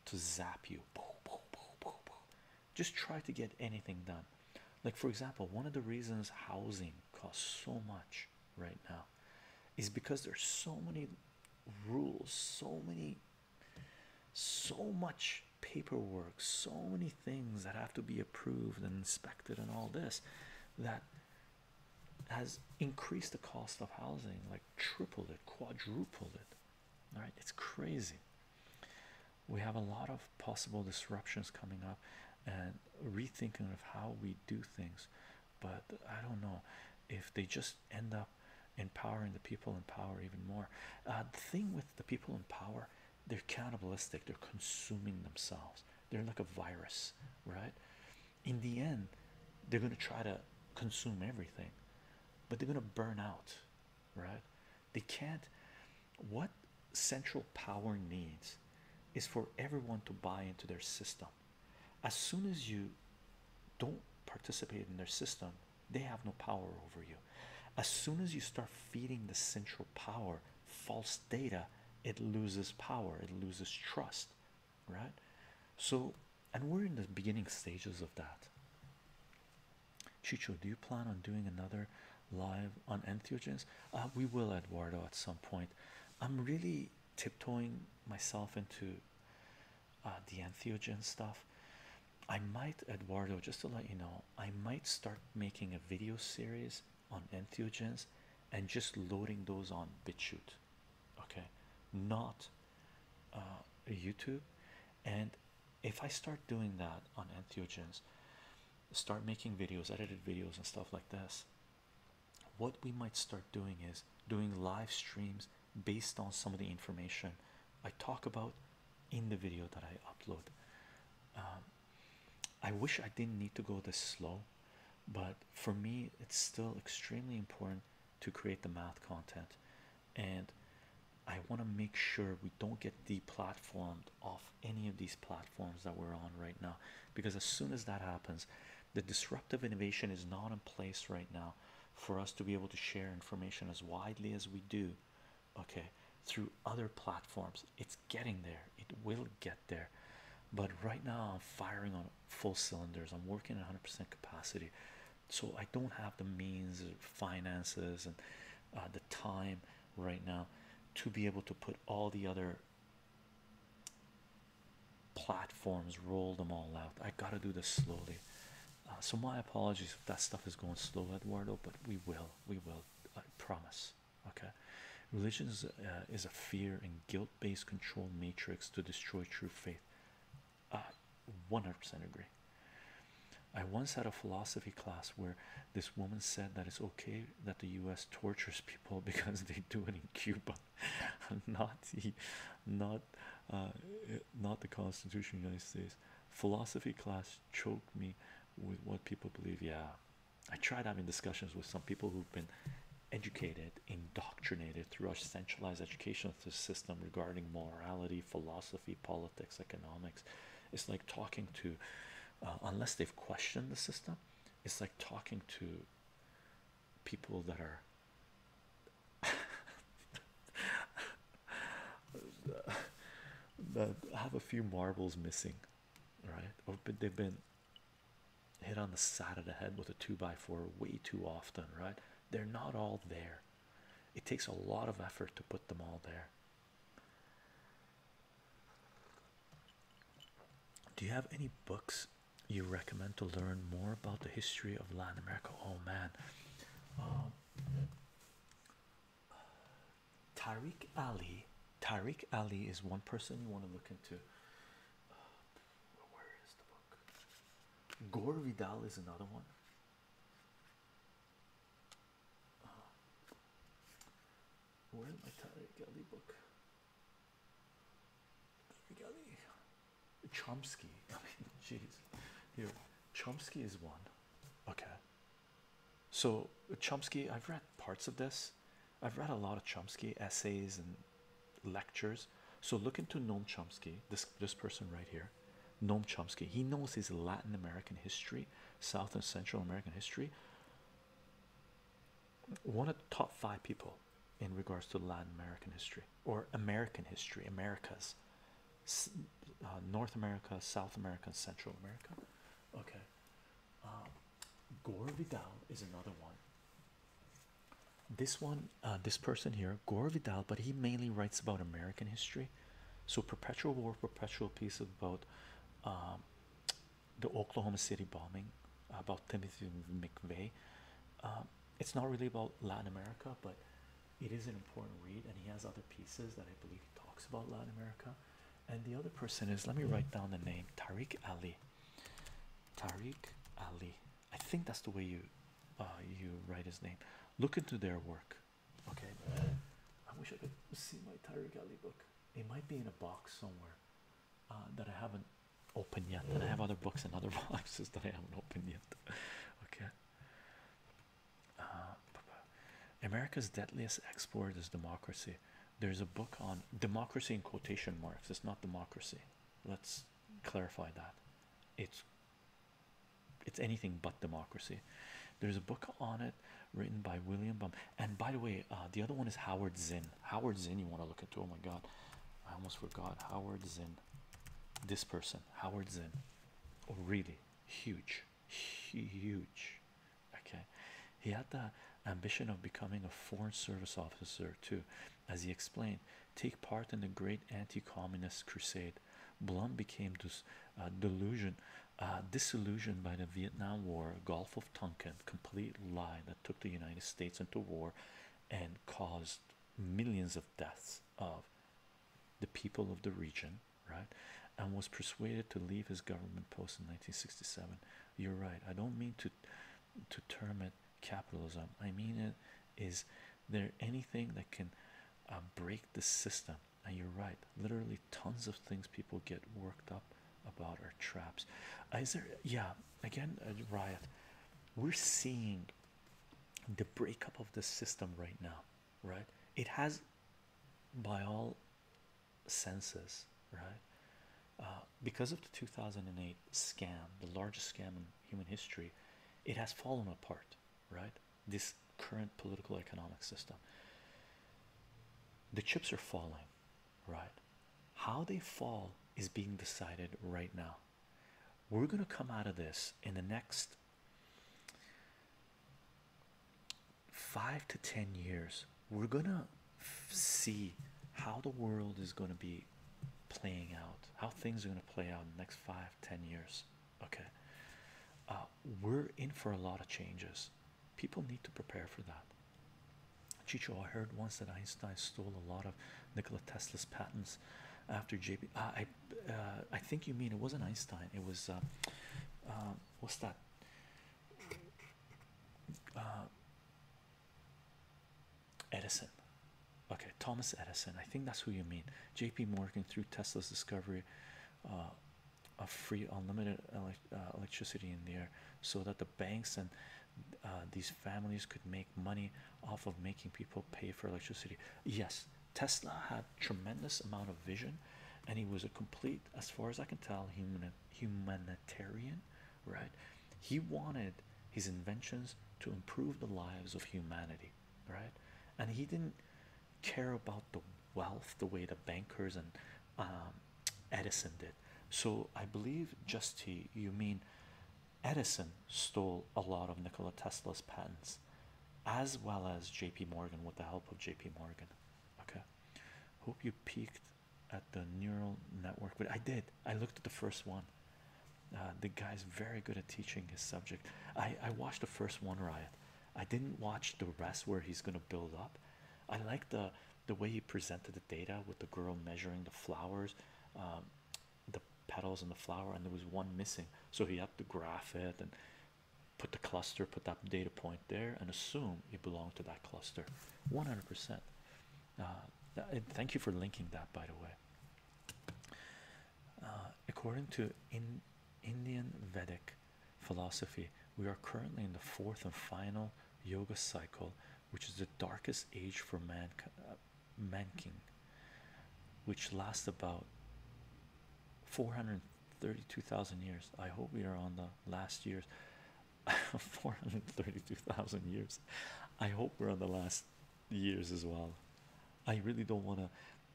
to zap you. Just try to get anything done. Like for example, one of the reasons housing costs so much right now is because there's so many rules, so many so much paperwork, so many things that have to be approved and inspected, and all this that has increased the cost of housing like tripled it, quadrupled it. All right, it's crazy. We have a lot of possible disruptions coming up and rethinking of how we do things, but I don't know if they just end up empowering the people in power even more. Uh, the thing with the people in power, they're cannibalistic, they're consuming themselves, they're like a virus, right? In the end, they're going to try to consume everything, but they're going to burn out, right? They can't. What central power needs is for everyone to buy into their system. As soon as you don't participate in their system, they have no power over you. As soon as you start feeding the central power false data, it loses power, it loses trust, right? So, and we're in the beginning stages of that. Chicho, do you plan on doing another live on entheogens? Uh, we will, Eduardo, at some point. I'm really tiptoeing myself into uh, the entheogen stuff. I might, Eduardo, just to let you know, I might start making a video series on entheogens and just loading those on BitChute, okay, not uh, YouTube. And if I start doing that on entheogens, start making videos, edited videos, and stuff like this, what we might start doing is doing live streams based on some of the information I talk about in the video that I upload. Um, I wish I didn't need to go this slow, but for me, it's still extremely important to create the math content, and I want to make sure we don't get deplatformed off any of these platforms that we're on right now. Because as soon as that happens, the disruptive innovation is not in place right now for us to be able to share information as widely as we do okay through other platforms it's getting there it will get there but right now i'm firing on full cylinders i'm working at 100% capacity so i don't have the means finances and uh, the time right now to be able to put all the other platforms roll them all out i got to do this slowly uh, so my apologies if that stuff is going slow, Eduardo, but we will, we will, I promise. Okay, religion is, a uh, fear and guilt-based control matrix to destroy true faith. 100% agree. I once had a philosophy class where this woman said that it's okay that the U.S. tortures people because they do it in Cuba, not the, uh, not the Constitution of the United States philosophy class choked me with what people believe. Yeah, I tried having discussions with some people who've been educated, indoctrinated through our centralized education system regarding morality, philosophy, politics, economics. It's like talking to, uh, unless they've questioned the system, it's like talking to people that are I have a few marbles missing, right? Oh, but they've been hit on the side of the head with a two by four way too often, right? They're not all there. It takes a lot of effort to put them all there. Do you have any books you recommend to learn more about the history of Latin America? Oh man, um, Tariq Ali. Tariq Ali is one person you want to look into. Uh, where is the book? Gore Vidal is another one. Uh, where's my Tariq Ali book? Tariq Ali. Chomsky. I mean, jeez. Here, Chomsky is one. Okay, so Chomsky, I've read parts of this, I've read a lot of Chomsky essays and lectures. So look into Noam Chomsky, this this person right here, Noam Chomsky. He knows his Latin American history, South and Central American history. One of the top five people in regards to Latin American history or American history, Americas, uh, North America, South America, Central America. Okay, um, Gore Vidal is another one. This one, uh, this person here, Gore Vidal, but he mainly writes about American history. So, Perpetual War, Perpetual Peace about um, the Oklahoma City bombing, about Timothy McVeigh. Um, it's not really about Latin America, but it is an important read, and he has other pieces that I believe he talks about Latin America. And the other person is let me hmm. write down the name Tariq Ali. Tariq Ali. I think that's the way you uh, you write his name. Look into their work. Okay. I wish I could see my Tariq Ali book. It might be in a box somewhere uh, that I haven't opened yet. And I have other books and other boxes that I haven't opened yet. Okay. Uh, America's deadliest export is democracy. There's a book on democracy in quotation marks. It's not democracy. Let's clarify that. It's it's anything but democracy. There's a book on it written by William Bum. And by the way, uh, the other one is Howard Zinn. Howard Zinn, you want to look into. Oh my God, I almost forgot Howard Zinn. This person, Howard Zinn. Oh really? huge huge okay he had the ambition of becoming a foreign service officer too as he explained take part in the great anti-communist crusade blum became this uh, uh, disillusioned by the vietnam war gulf of tonkin complete lie that took the united states into war and caused millions of deaths of the people of the region, right? And was persuaded to leave his government post in 1967. You're right. I don't mean to to term it capitalism. I mean it is there anything that can um, break the system? And you're right. Literally tons of things people get worked up about are traps. is there? Yeah. Again, uh, riot. We're seeing the breakup of the system right now right? It has by all senses, right? Uh, because of the 2008 scam, the largest scam in human history, it has fallen apart, right? This current political economic system, the chips are falling, right? How they fall is being decided right now. We're going to come out of this in the next five to ten years, we're gonna see how the world is gonna be playing out, how things are gonna play out in the next five, ten years. Okay, uh, we're in for a lot of changes. People need to prepare for that. Chicho, I heard once that Einstein stole a lot of Nikola Tesla's patents after JP. Uh, I think you mean it wasn't Einstein. It was uh, uh, what's that? Edison. Okay, Thomas Edison. I think that's who you mean. J.P. Morgan through Tesla's discovery of free unlimited electricity in the air, so that the banks and these families could make money off of making people pay for electricity. Yes, Tesla had tremendous amount of vision and he was a complete as far as I can tell human humanitarian right he wanted his inventions to improve the lives of humanity right and he didn't care about the wealth the way the bankers and um, Edison did so I believe just you mean Edison stole a lot of Nikola Tesla's patents as well as JP Morgan with the help of JP Morgan. Okay, hope you peeked at the neural network, but I did. I looked at the first one. Uh, the guy's very good at teaching his subject. I, I watched the first one, Riot. I didn't watch the rest where he's gonna build up. I like the the way he presented the data with the girl measuring the flowers, um, the petals and the flower, and there was one missing, so he had to graph it and put the cluster, put that data point there, and assume it belonged to that cluster 100%. Uh, thank you for linking that, by the way. Uh, according to in Indian Vedic philosophy, we are currently in the fourth and final yoga cycle, which is the darkest age for man, uh, manking, which lasts about 400 32,000 years. I hope we are on the last years. 432,000 years. I hope we're on the last years as well. I really don't want to.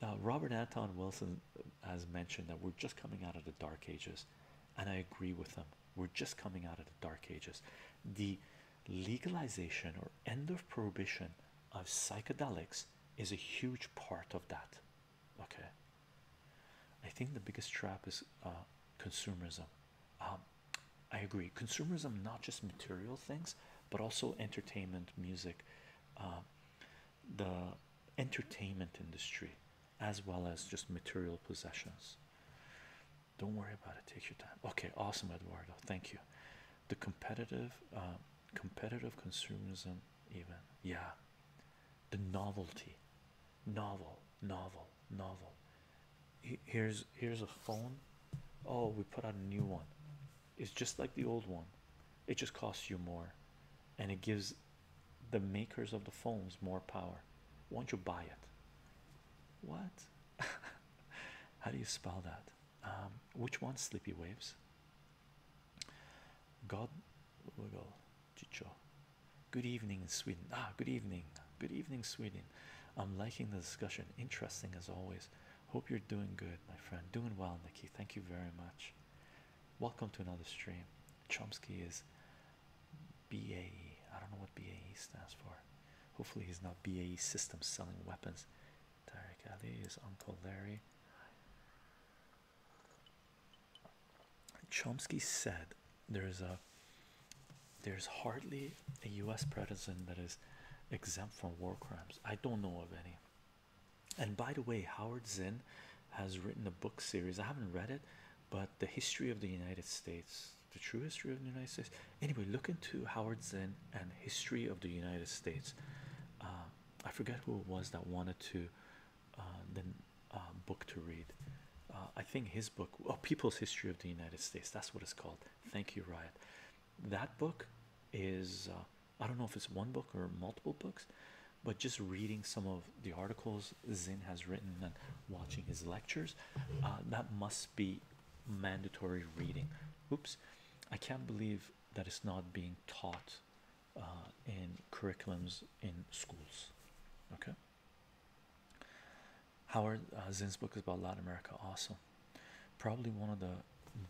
Uh, Robert Anton Wilson uh, has mentioned that we're just coming out of the dark ages, and I agree with him. We're just coming out of the dark ages. The legalization or end of prohibition of psychedelics is a huge part of that okay i think the biggest trap is uh, consumerism um, i agree consumerism not just material things but also entertainment music uh, the entertainment industry as well as just material possessions don't worry about it take your time okay awesome eduardo thank you the competitive uh, competitive consumerism even yeah the novelty novel novel novel here's here's a phone oh we put out a new one it's just like the old one it just costs you more and it gives the makers of the phones more power will not you buy it what how do you spell that um, which one sleepy waves God wiggle oh chicho. Good evening in Sweden. Ah, good evening. Good evening, Sweden. I'm liking the discussion. Interesting as always. Hope you're doing good, my friend. Doing well, Nikki. Thank you very much. Welcome to another stream. Chomsky is BAE. I don't know what BAE stands for. Hopefully, he's not BAE Systems selling weapons. Tarek Ali is Uncle Larry. Chomsky said there's a there's hardly a US president that is exempt from war crimes. I don't know of any. And by the way, Howard Zinn has written a book series. I haven't read it, but the history of the United States, the true history of the United States. Anyway, look into Howard Zinn and history of the United States. Uh, I forget who it was that wanted to uh, the uh, book to read. Uh, I think his book, oh, People's History of the United States, that's what it's called. Thank you, Riot. That book is, uh, I don't know if it's one book or multiple books, but just reading some of the articles Zinn has written and watching his lectures, that must be mandatory reading. Oops, I can't believe that it's not being taught uh, in curriculums in schools. Okay. Howard uh, Zinn's book is about Latin America. Awesome. Probably one of the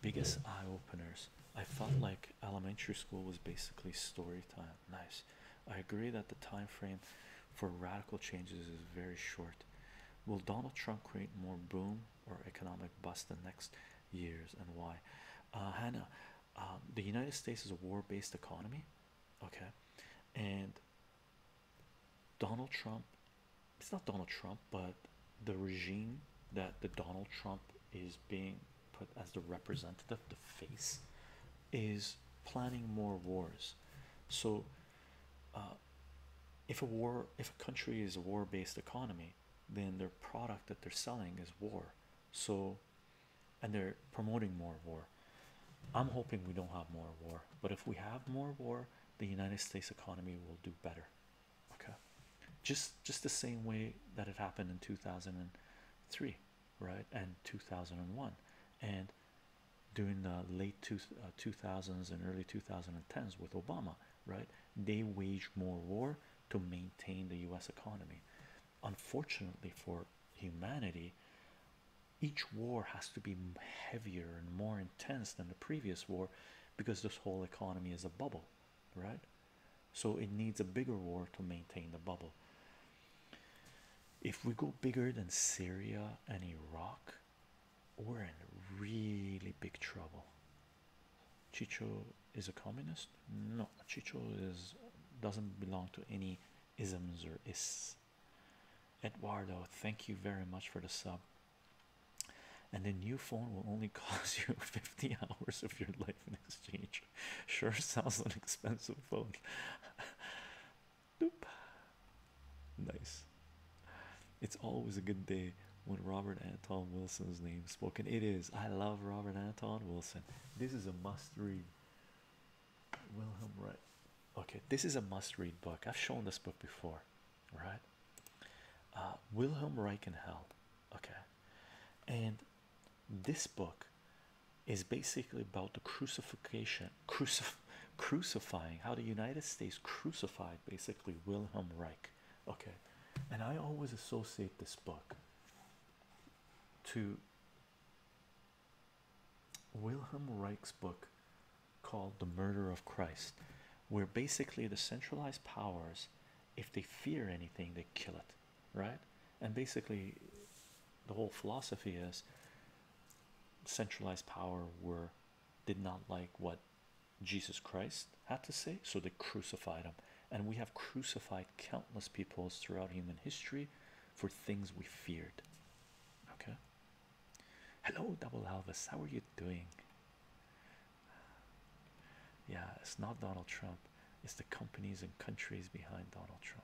biggest eye openers. I felt like elementary school was basically story time. Nice. I agree that the time frame for radical changes is very short. Will Donald Trump create more boom or economic bust the next years and why? Uh, Hannah, um, the United States is a war-based economy, okay, and Donald Trump. It's not Donald Trump, but the regime that the Donald Trump is being put as the representative, the face, is planning more wars. So, uh, if a war, if a country is a war-based economy, then their product that they're selling is war so and they're promoting more war i'm hoping we don't have more war but if we have more war the united states economy will do better okay just just the same way that it happened in 2003 right and 2001 and during the late 2000s uh, and early 2010s with obama right they waged more war to maintain the US economy. Unfortunately for humanity, each war has to be heavier and more intense than the previous war because this whole economy is a bubble, right? So it needs a bigger war to maintain the bubble. If we go bigger than Syria and Iraq, we're in really big trouble. Chicho is a communist? No, Chicho is doesn't belong to any isms or is. Eduardo, thank you very much for the sub. And the new phone will only cost you 50 hours of your life in exchange. Sure sounds an expensive phone. Doop. Nice. It's always a good day when Robert and Tom Wilson's name spoken. It is. I love Robert and Tom Wilson. This is a must read. Wilhelm Reich. Okay, this is a must read book. I've shown this book before, right? Uh, Wilhelm Reichenhell. Okay, and this book is basically about the crucifixion, crucif crucifying, how the United States crucified basically Wilhelm Reich. Okay, and I always associate this book to Wilhelm Reich's book called The Murder of Christ, where basically the centralized powers, if they fear anything, they kill it, right? And basically, the whole philosophy is centralized power were did not like what Jesus Christ had to say, so they crucified him. And we have crucified countless peoples throughout human history for things we feared. Okay. Hello, Double Alvis. How are you doing? Yeah, it's not Donald Trump. It's the companies and countries behind Donald Trump.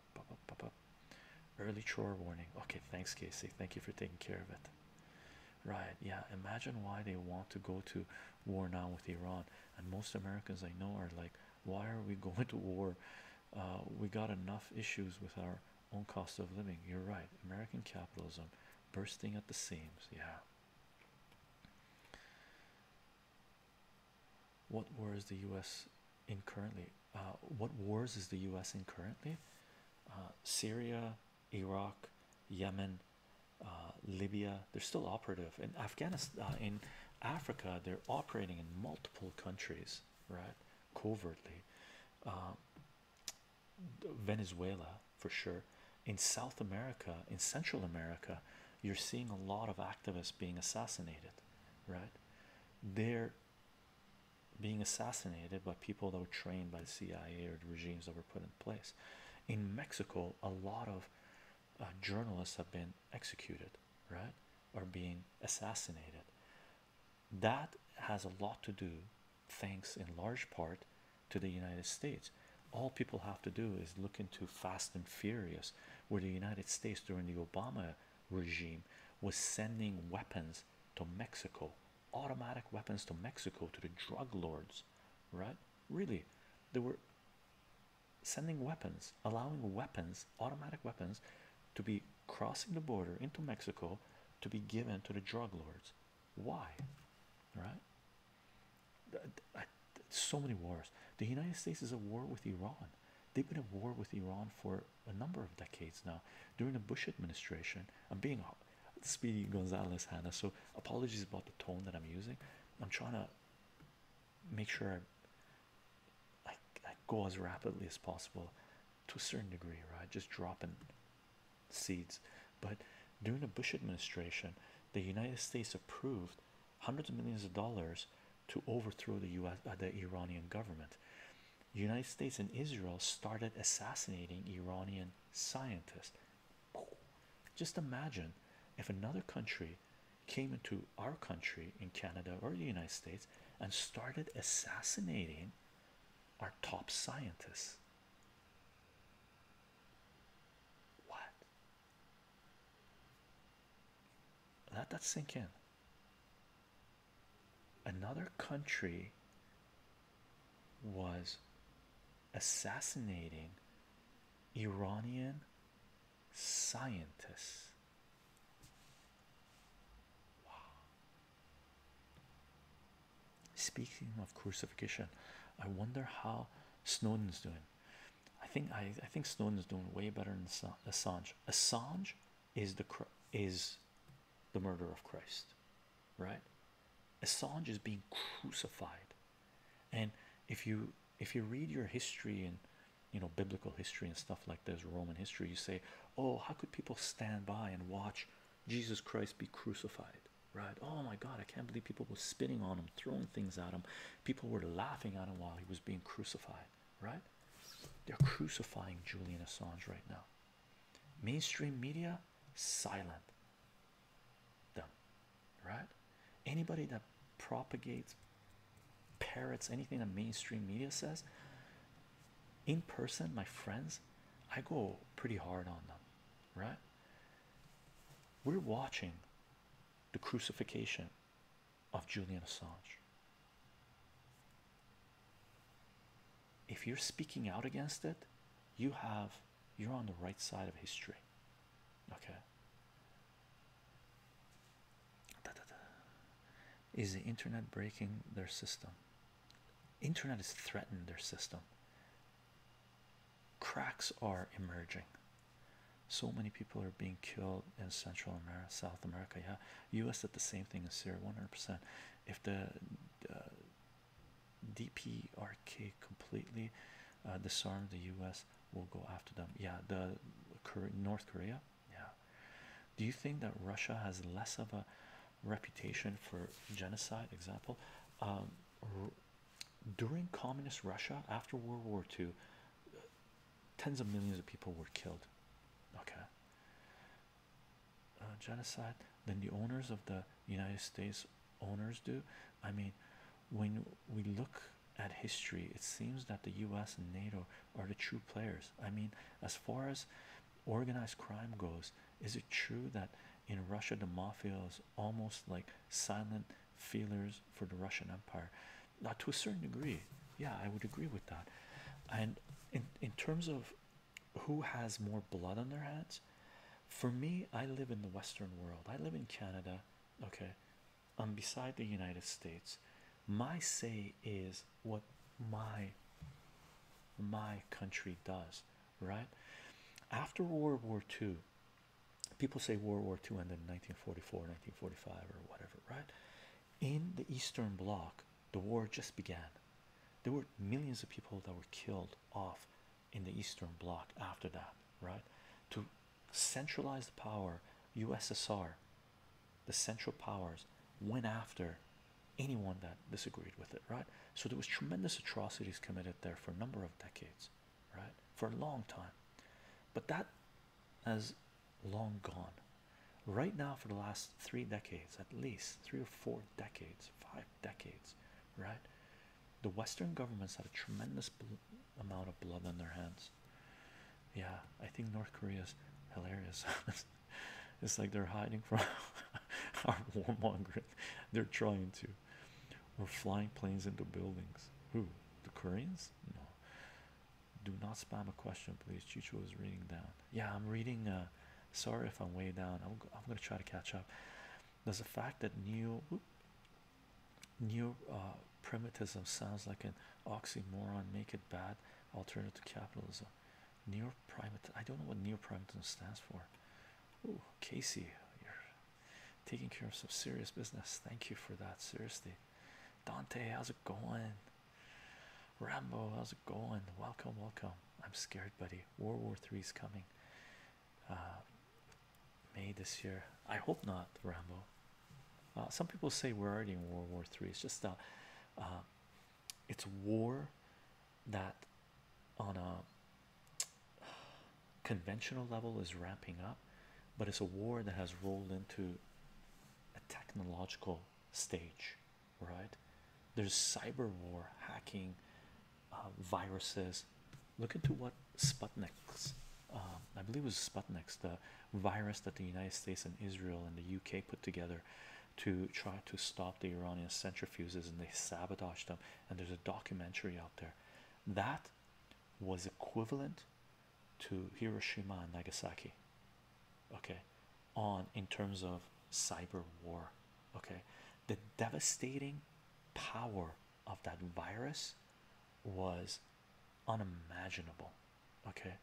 Early chore warning. Okay, thanks, Casey. Thank you for taking care of it. Right, yeah. Imagine why they want to go to war now with Iran, and most Americans I know are like, why are we going to war? Uh, we got enough issues with our own cost of living. You're right, American capitalism bursting at the seams. Yeah. What wars is the U.S. in currently? Uh, what wars is the U.S. in currently? Uh, Syria, Iraq, Yemen, uh, Libya. They're still operative in Afghanistan. Uh, in Africa, they're operating in multiple countries, right? Covertly, um, Venezuela for sure. In South America, in Central America, you're seeing a lot of activists being assassinated, right? They're being assassinated by people that were trained by the CIA or the regimes that were put in place. In Mexico, a lot of uh, journalists have been executed, right, or being assassinated. That has a lot to do, thanks in large part to the United States. All people have to do is look into Fast and Furious, where the United States during the Obama regime was sending weapons to Mexico, automatic weapons to Mexico to the drug lords, right? Really, there were sending weapons, allowing weapons, automatic weapons, to be crossing the border into Mexico to be given to the drug lords. Why? Right? So many wars. The United States is at war with Iran. They've been at war with Iran for a number of decades now. During the Bush administration, I'm being speedy Gonzalez Hannah, so apologies about the tone that I'm using. I'm trying to make sure I, I, go as rapidly as possible to a certain degree, right? Just dropping seeds. But during the Bush administration, the United States approved hundreds of millions of dollars to overthrow the U.S. Uh, the Iranian government. United States and Israel started assassinating Iranian scientists. Just imagine if another country came into our country in Canada or the United States and started assassinating our top scientists. What? Let that sink in. Another country was assassinating Iranian scientists. Speaking of crucifixion, I wonder how Snowden's doing. I think I, I think Snowden's doing way better than Assange. Assange is the is the murder of Christ, right? Assange is being crucified, and if you if you read your history and you know biblical history and stuff like this roman history you say oh how could people stand by and watch jesus christ be crucified right oh my god i can't believe people were spitting on him throwing things at him people were laughing at him while he was being crucified right they're crucifying julian assange right now mainstream media silent them right? Anybody that propagates, parrots anything that mainstream media says in person, my friends, I go pretty hard on them, right? We're watching the crucifixion of Julian Assange. If you're speaking out against it, you have you're on the right side of history. Okay, is the internet breaking their system? Internet is threatening their system. Cracks are emerging. So many people are being killed in Central America, South America. Yeah, U.S. did the same thing in Syria, 100%. If the uh, DPRK completely uh, disarmed the U.S., we will go after them. Yeah, the North Korea. Yeah. Do you think that Russia has less of a reputation for genocide? Example, um, during communist Russia after World War II, uh, tens of millions of people were killed. Okay. Uh, genocide. than the owners of the United States owners do I mean, when we look at history, it seems that the US and NATO are the true players. I mean, as far as organized crime goes, is it true that in Russia the mafia is almost like silent feelers for the Russian Empire? Not to a certain degree, yeah, I would agree with that. And in, in terms of who has more blood on their hands, for me, I live in the Western world, I live in Canada. Okay, i um, beside the United States. My say is what my my country does, right? After World War II, people say World War II ended in 1944, 1945, or whatever, right? In the Eastern Bloc, the war just began. There were millions of people that were killed off in the Eastern Bloc after that, right? To centralized power, USSR, the Central Powers went after anyone that disagreed with it, right? So there was tremendous atrocities committed there for a number of decades, right? For a long time, but that has long gone. Right now, for the last three decades, at least three or four decades, five decades, right? The Western governments had a tremendous amount of blood on their hands. Yeah, I think North Korea is hilarious. it's like they're hiding from our warmongering. They're trying to. We're flying planes into buildings. Who? The Koreans? No. Do not spam a question, please. Chicho is reading down. Yeah, I'm reading. Uh, sorry if I'm way down. I'm, I'm going to try to catch up. There's the fact that New. Neo uh, primitivism sounds like an oxymoron. Make it bad alternative to capitalism. Neo primit. I don't know what neo primitivism stands for. Oh, Casey, you're taking care of some serious business. Thank you for that. Seriously, Dante, how's it going? Rambo, how's it going? Welcome, welcome. I'm scared, buddy. World War Three is coming. Uh, May this year. I hope not, Rambo. Uh, some people say we're already in World War Three. It's just a, uh, it's war that on a conventional level is ramping up, but it's a war that has rolled into a technological stage, right? There's cyber war, hacking, uh, viruses. Look into what Sputnik's, um, I believe it was Sputnik's, the virus that the United States and Israel and the UK put together to try to stop the Iranian centrifuges, and they sabotaged them. And there's a documentary out there that was equivalent to Hiroshima and Nagasaki, okay, on in terms of cyber war, okay. The devastating power of that virus was unimaginable. Okay,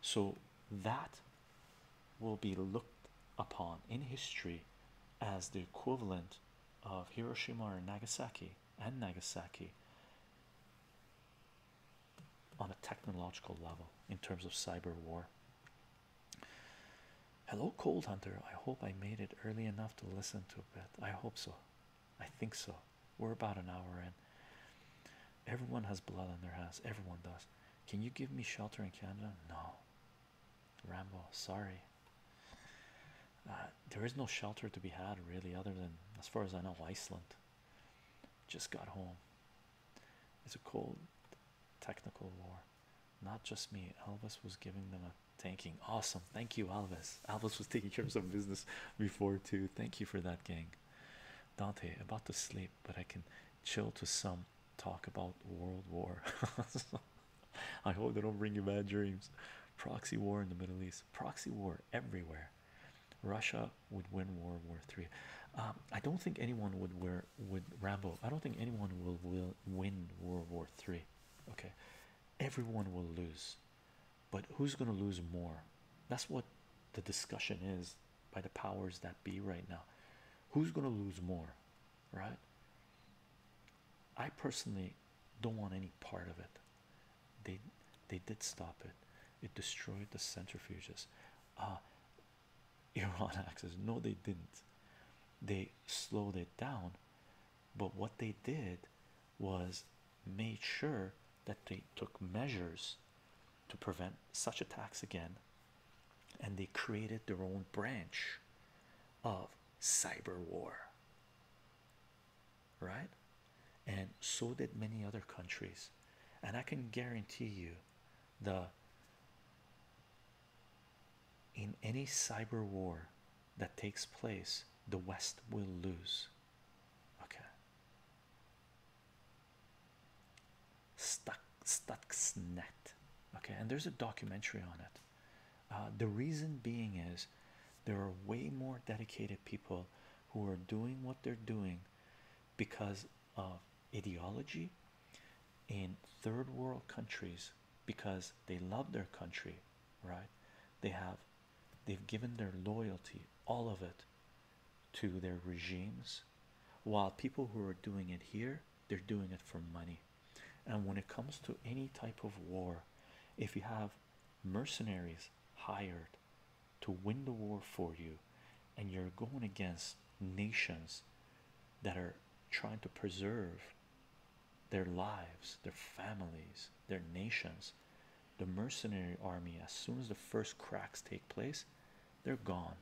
so that will be looked upon in history as the equivalent of Hiroshima and Nagasaki and Nagasaki on a technological level in terms of cyber war. Hello, Cold Hunter. I hope I made it early enough to listen to a bit. I hope so. I think so. We're about an hour in. Everyone has blood on their hands. Everyone does. Can you give me shelter in Canada? No. Rambo, sorry. Uh, there is no shelter to be had, really, other than, as far as I know, Iceland. Just got home. It's a cold, technical war. Not just me. Elvis was giving them a thanking. Awesome. Thank you, Elvis. Albus was taking care of some business before too. Thank you for that, gang. Dante, about to sleep, but I can chill to some talk about World War. I hope they don't bring you bad dreams. Proxy war in the Middle East. Proxy war everywhere. Russia would win World War Three. Um, I don't think anyone would wear would Rambo. I don't think anyone will will win World War Three. Okay, everyone will lose but who's going to lose more? That's what the discussion is by the powers that be right now. Who's going to lose more, right? I personally don't want any part of it. They they did stop it. It destroyed the centrifuges. Uh, Iran access. No, they didn't. They slowed it down, but what they did was made sure that they took measures to prevent such attacks again, and they created their own branch of cyber war, right? And so did many other countries. And I can guarantee you the in any cyber war that takes place, the West will lose. Okay. Stuck Stuxnet. Okay, and there's a documentary on it. Uh, the reason being is there are way more dedicated people who are doing what they're doing because of ideology in third world countries because they love their country, right? They have They've given their loyalty, all of it, to their regimes, while people who are doing it here, they're doing it for money. And when it comes to any type of war, if you have mercenaries hired to win the war for you, and you're going against nations that are trying to preserve their lives, their families, their nations the mercenary army as soon as the first cracks take place they're gone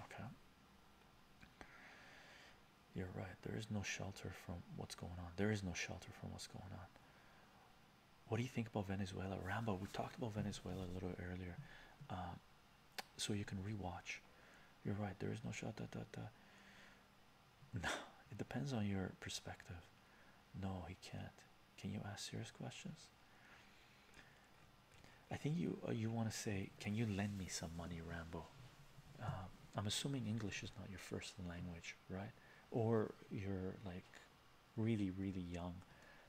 okay you're right there is no shelter from what's going on there is no shelter from what's going on what do you think about Venezuela Rambo we talked about Venezuela a little earlier um, so you can rewatch you're right there is no shot no it depends on your perspective no he can't can you ask serious questions? I think you uh, you want to say, can you lend me some money, Rambo? Um, I'm assuming English is not your first language, right? Or you're like really really young,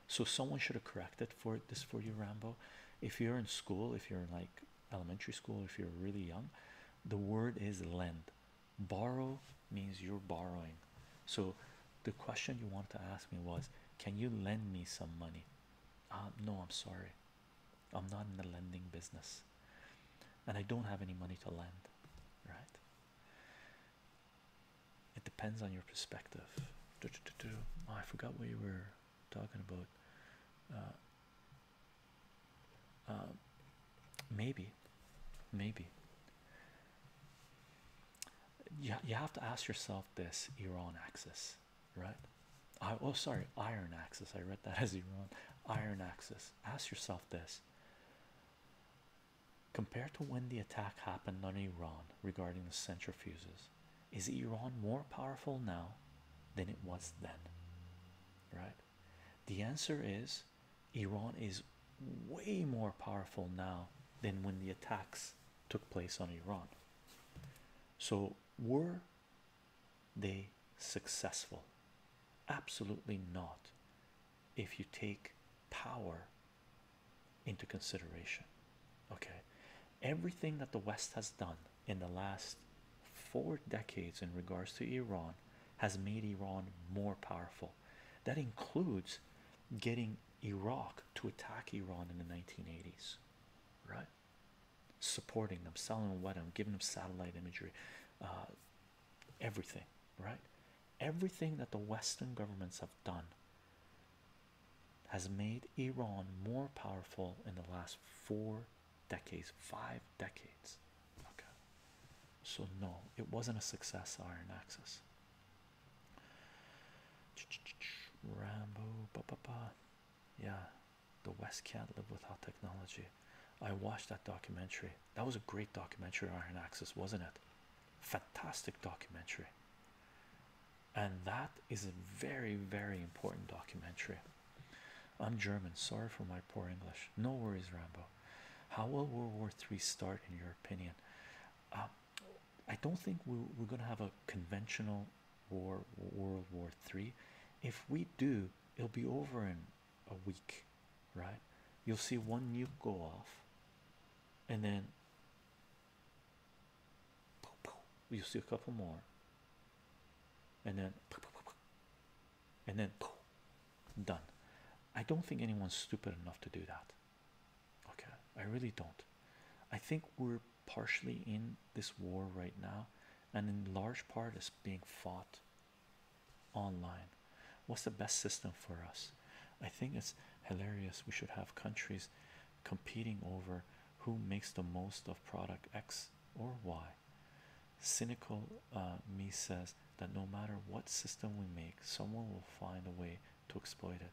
so someone should have corrected for this for you, Rambo. If you're in school, if you're in like elementary school, if you're really young, the word is lend borrow means you're borrowing so the question you want to ask me was can you lend me some money uh, no i'm sorry i'm not in the lending business and i don't have any money to lend right it depends on your perspective oh, i forgot what you were talking about uh, uh, maybe maybe you, you have to ask yourself this Iran axis, right? oh, sorry, iron axis. I read that as Iran. Iron axis. Ask yourself this compared to when the attack happened on Iran regarding the centrifuges, is Iran more powerful now than it was then? Right? The answer is Iran is way more powerful now than when the attacks took place on Iran. So, were they successful? Absolutely not, if you take power into consideration. Okay, everything that the West has done in the last four decades in regards to Iran has made Iran more powerful that includes getting Iraq to attack Iran in the 1980s, right? Supporting them, selling them weapons, giving them satellite imagery, uh, everything, right? Everything that the Western governments have done has made Iran more powerful in the last four decades, five decades. Okay. So, no, it wasn't a success, Iron Axis. Rambo, ba ba ba. Yeah, the West can't live without technology. I watched that documentary. That was a great documentary, Iron Axis, wasn't it? Fantastic documentary. And that is a very, very important documentary. I'm German. Sorry for my poor English. No worries, Rambo. How will World War Three start, in your opinion? Um, I don't think we're, we're going to have a conventional war, World War Three. If we do, it'll be over in a week, right? You'll see one nuke go off, and then you'll see a couple more, and then and then done. I don't think anyone's stupid enough to do that. Okay, I really don't. I think we're partially in this war right now, and in large part, it's being fought online. What's the best system for us? I think it's hilarious. We should have countries competing over who makes the most of product X or Y. Cynical uh, me says that no matter what system we make, someone will find a way to exploit it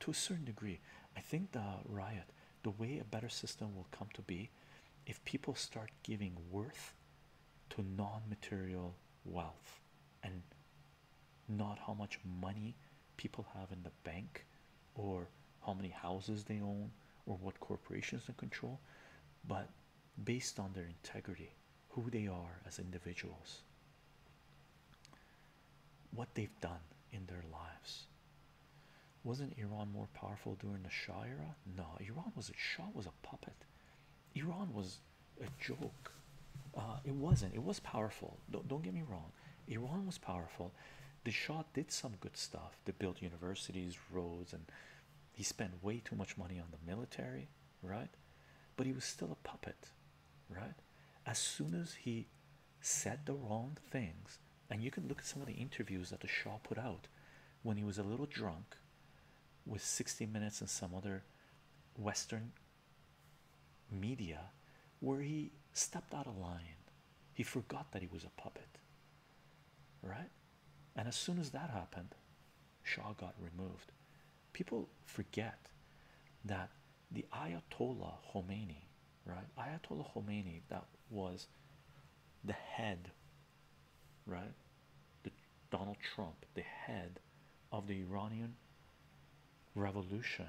to a certain degree. I think the riot, the way a better system will come to be if people start giving worth to non material wealth and not how much money people have in the bank or how many houses they own or what corporations they control, but based on their integrity who they are as individuals, what they've done in their lives. Wasn't Iran more powerful during the Shah era? No, Iran was a Shah was a puppet. Iran was a joke. Uh, it wasn't. It was powerful. don't get me wrong. Iran was powerful. The Shah did some good stuff. They built universities, roads, and he spent way too much money on the military right but he was still a puppet right as soon as he said the wrong things and you can look at some of the interviews that the Shah put out when he was a little drunk with 60 minutes and some other western media where he stepped out of line he forgot that he was a puppet right and as soon as that happened Shah got removed people forget that the Ayatollah Khomeini, right? Ayatollah Khomeini, that was the head, right? The Donald Trump, the head of the Iranian revolution,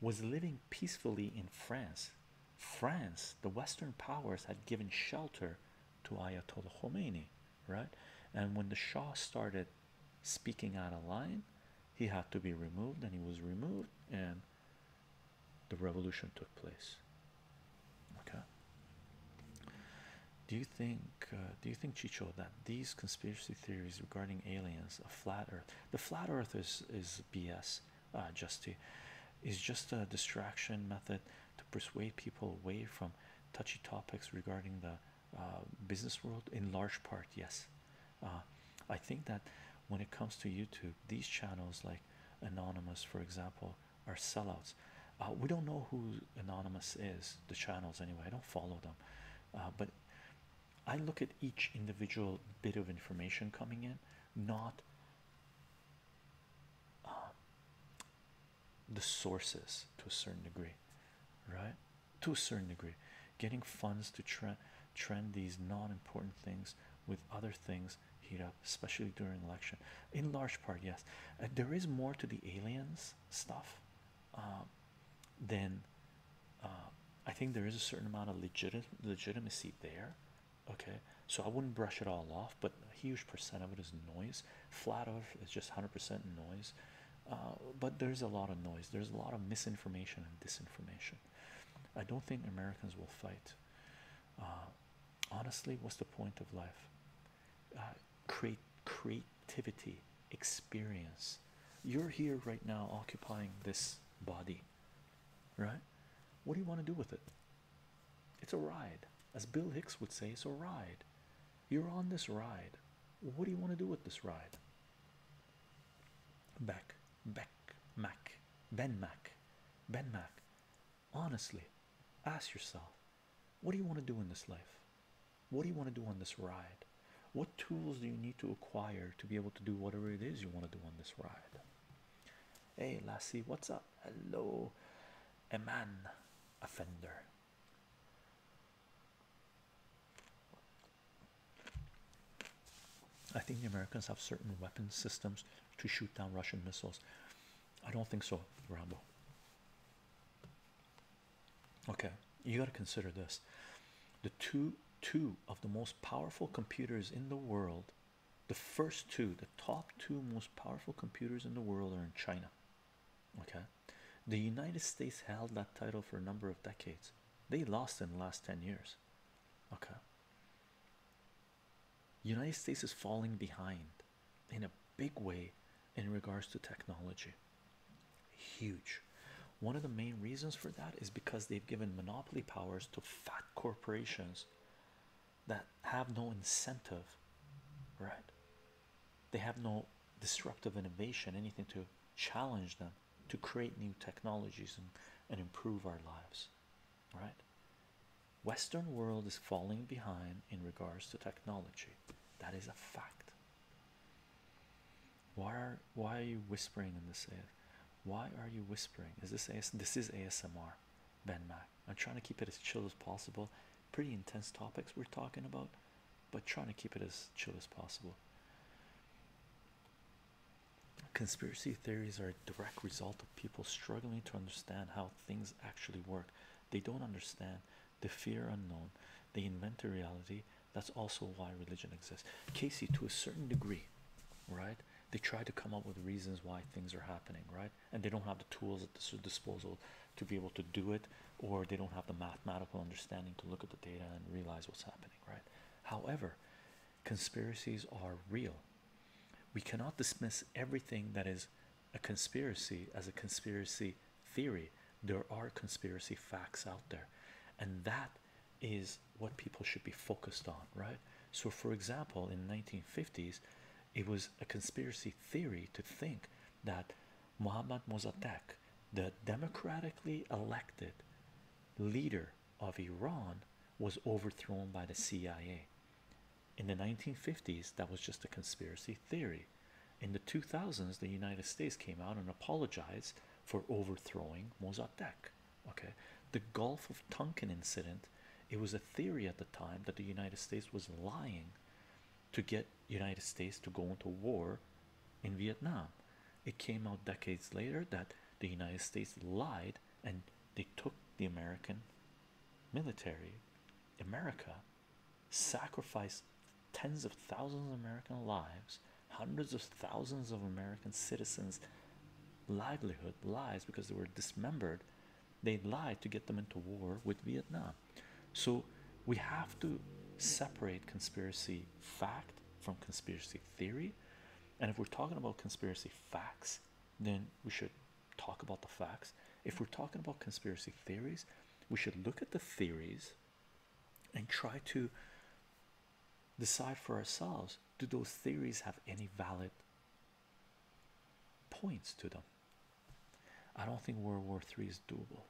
was living peacefully in France. France, the Western powers had given shelter to Ayatollah Khomeini right? And when the Shah started speaking out of line, he had to be removed, and he was removed, and the revolution took place. Okay. Do you think? Uh, do you think Chicho that these conspiracy theories regarding aliens, a flat Earth, the flat Earth is is BS, uh, is just a distraction method to persuade people away from touchy topics regarding the uh, business world in large part yes uh, i think that when it comes to youtube these channels like anonymous for example are sellouts uh, we don't know who anonymous is the channels anyway i don't follow them but i look at each individual bit of information coming in not the sources to a certain degree, right? To a certain degree, getting funds to trend trend these non-important things with other things heat up, especially during election. In large part, yes, uh, there is more to the aliens stuff um, than uh, I think there is a certain amount of legit legitimacy there. Okay, so I wouldn't brush it all off, but a huge percent of it is noise. Flat Earth is just 100% noise. Uh, but there's a lot of noise there's a lot of misinformation and disinformation i don't think americans will fight uh, honestly what's the point of life uh, creativity experience you're here right now occupying this body right what do you want to do with it it's a ride as bill hicks would say it's a ride you're on this ride. What do you want to do with this ride? Beck, Beck, Mac, Ben Mac, Ben Mac. Honestly, ask yourself, what do you want to do in this life? What do you want to do on this ride? What tools do you need to acquire to be able to do whatever it is you want to do on this ride? Hey, Lassie, what's up? Hello, a man offender. I think the Americans have certain weapon systems to shoot down Russian missiles. I don't think so, Rambo. Okay, you got to consider this. The two two of the most powerful computers in the world, the first two, the top two most powerful computers in the world are in China. Okay, the United States held that title for a number of decades. They lost in the last 10 years. Okay. United States is falling behind in a big way in regards to technology. Huge. One of the main reasons for that is because they've given monopoly powers to fat corporations that have no incentive, right? they have no disruptive innovation, anything to challenge them to create new technologies and, and improve our lives. Right? Western world is falling behind in regards to technology. That is a fact. Why are why are you whispering in this? AS? Why are you whispering? Is this AS? This is ASMR, Ben Mac. I'm trying to keep it as chill as possible pretty intense topics we're talking about, but trying to keep it as chill as possible. Conspiracy theories are a direct result of people struggling to understand how things actually work. They don't understand, the fear unknown, they invent a reality. That's also why religion exists. Casey, to a certain degree, right? They try to come up with reasons why things are happening, right? And they don't have the tools at their disposal to be able to do it, or they don't have the mathematical understanding to look at the data and realize what's happening, right? However, conspiracies are real. We cannot dismiss everything that is a conspiracy as a conspiracy theory. There are conspiracy facts out there, and that is what people should be focused on, right? So, for example, in 1950s, it was a conspiracy theory to think that Mohammad Mossadegh, the democratically elected leader of Iran, was overthrown by the CIA. In the 1950s, that was just a conspiracy theory. In the 2000s, the United States came out and apologized for overthrowing Mossadegh. Okay, the Gulf of Tonkin incident. It was a theory at the time that the United States was lying to get United States to go into war in Vietnam. It came out decades later that the United States lied and they took the American military, America, sacrificed tens of thousands of American lives, hundreds of thousands of American citizens' livelihood lies because they were dismembered. They lied to get them into war with Vietnam. So we have to separate conspiracy fact from conspiracy theory. And if we're talking about conspiracy facts, then we should talk about the facts. If we're talking about conspiracy theories, we should look at the theories and try to decide for ourselves do those theories have any valid points to them? I don't think World War III is doable.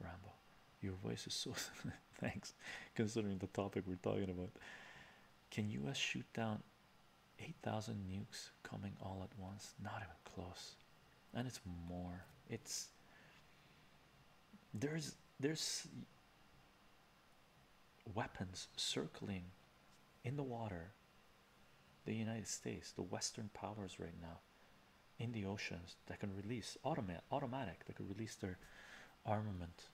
Rambo. Your voice is so thanks, considering the topic we're talking about. Can US shoot down 8,000 nukes coming all at once? Not even close. And it's more. It's there's there's weapons circling in the water the United States, the Western powers right now in the oceans that can release automatic automatic that can release their armament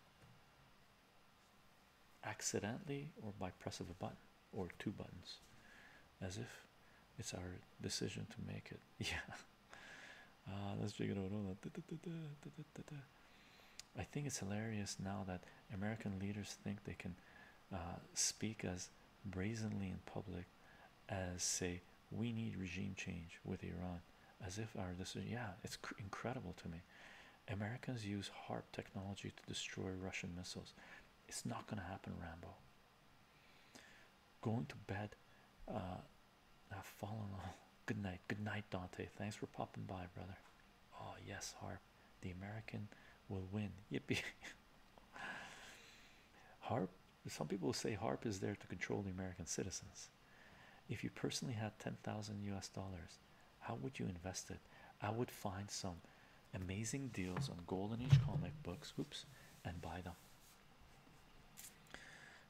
accidentally or by press of a button or two buttons as if it's our decision to make it yeah uh, let's figure out all that I think it's hilarious now that American leaders think they can uh, speak as brazenly in public as say we need regime change with Iran as if our decision yeah it's incredible to me Americans use HARP technology to destroy Russian missiles it's not gonna happen Rambo going to bed uh, I've fallen off good night good night Dante thanks for popping by brother oh yes HARP the American will win yippee HARP some people say harp is there to control the american citizens if you personally had 10,000 us dollars how would you invest it i would find some amazing deals on golden age comic books oops and buy them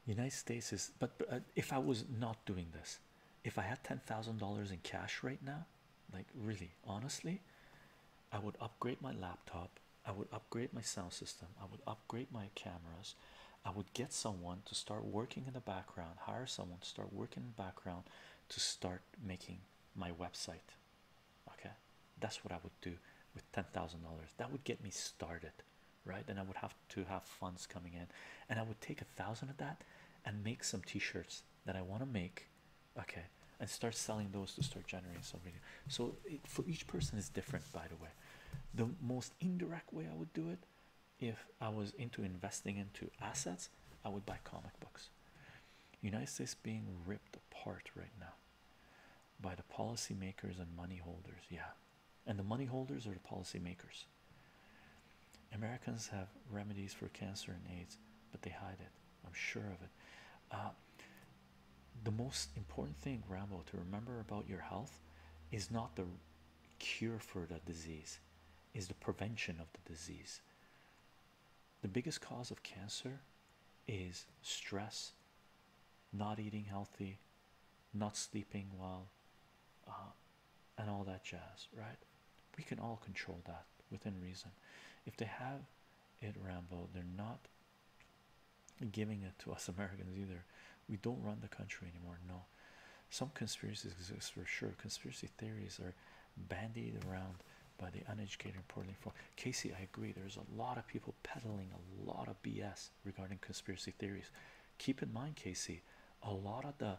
united states is but uh, if i was not doing this if i had $10,000 in cash right now like really honestly i would upgrade my laptop I would upgrade my sound system, I would upgrade my cameras, I would get someone to start working in the background, hire someone to start working in the background to start making my website. Okay, that's what I would do with ten thousand dollars. That would get me started, right? And I would have to have funds coming in, and I would take a thousand of that and make some t-shirts that I want to make. Okay, and start selling those to start generating some revenue. So for each person it's different, by the way. The most indirect way I would do it, if I was into investing into assets, I would buy comic books. United States being ripped apart right now by the policymakers and money holders. Yeah, and the money holders are the policymakers. Americans have remedies for cancer and AIDS, but they hide it. I'm sure of it. Uh, the most important thing, Rambo, to remember about your health is not the cure for the disease, is the prevention of the disease. The biggest cause of cancer is stress, not eating healthy, not sleeping well, uh, and all that jazz, right? We can all control that within reason. If they have it, Rambo, they're not giving it to us Americans either. We don't run the country anymore. No, some conspiracies exist for sure. Conspiracy theories are bandied around by the uneducated and poorly informed. Casey, I agree. There's a lot of people peddling a lot of BS regarding conspiracy theories. Keep in mind, Casey, a lot of the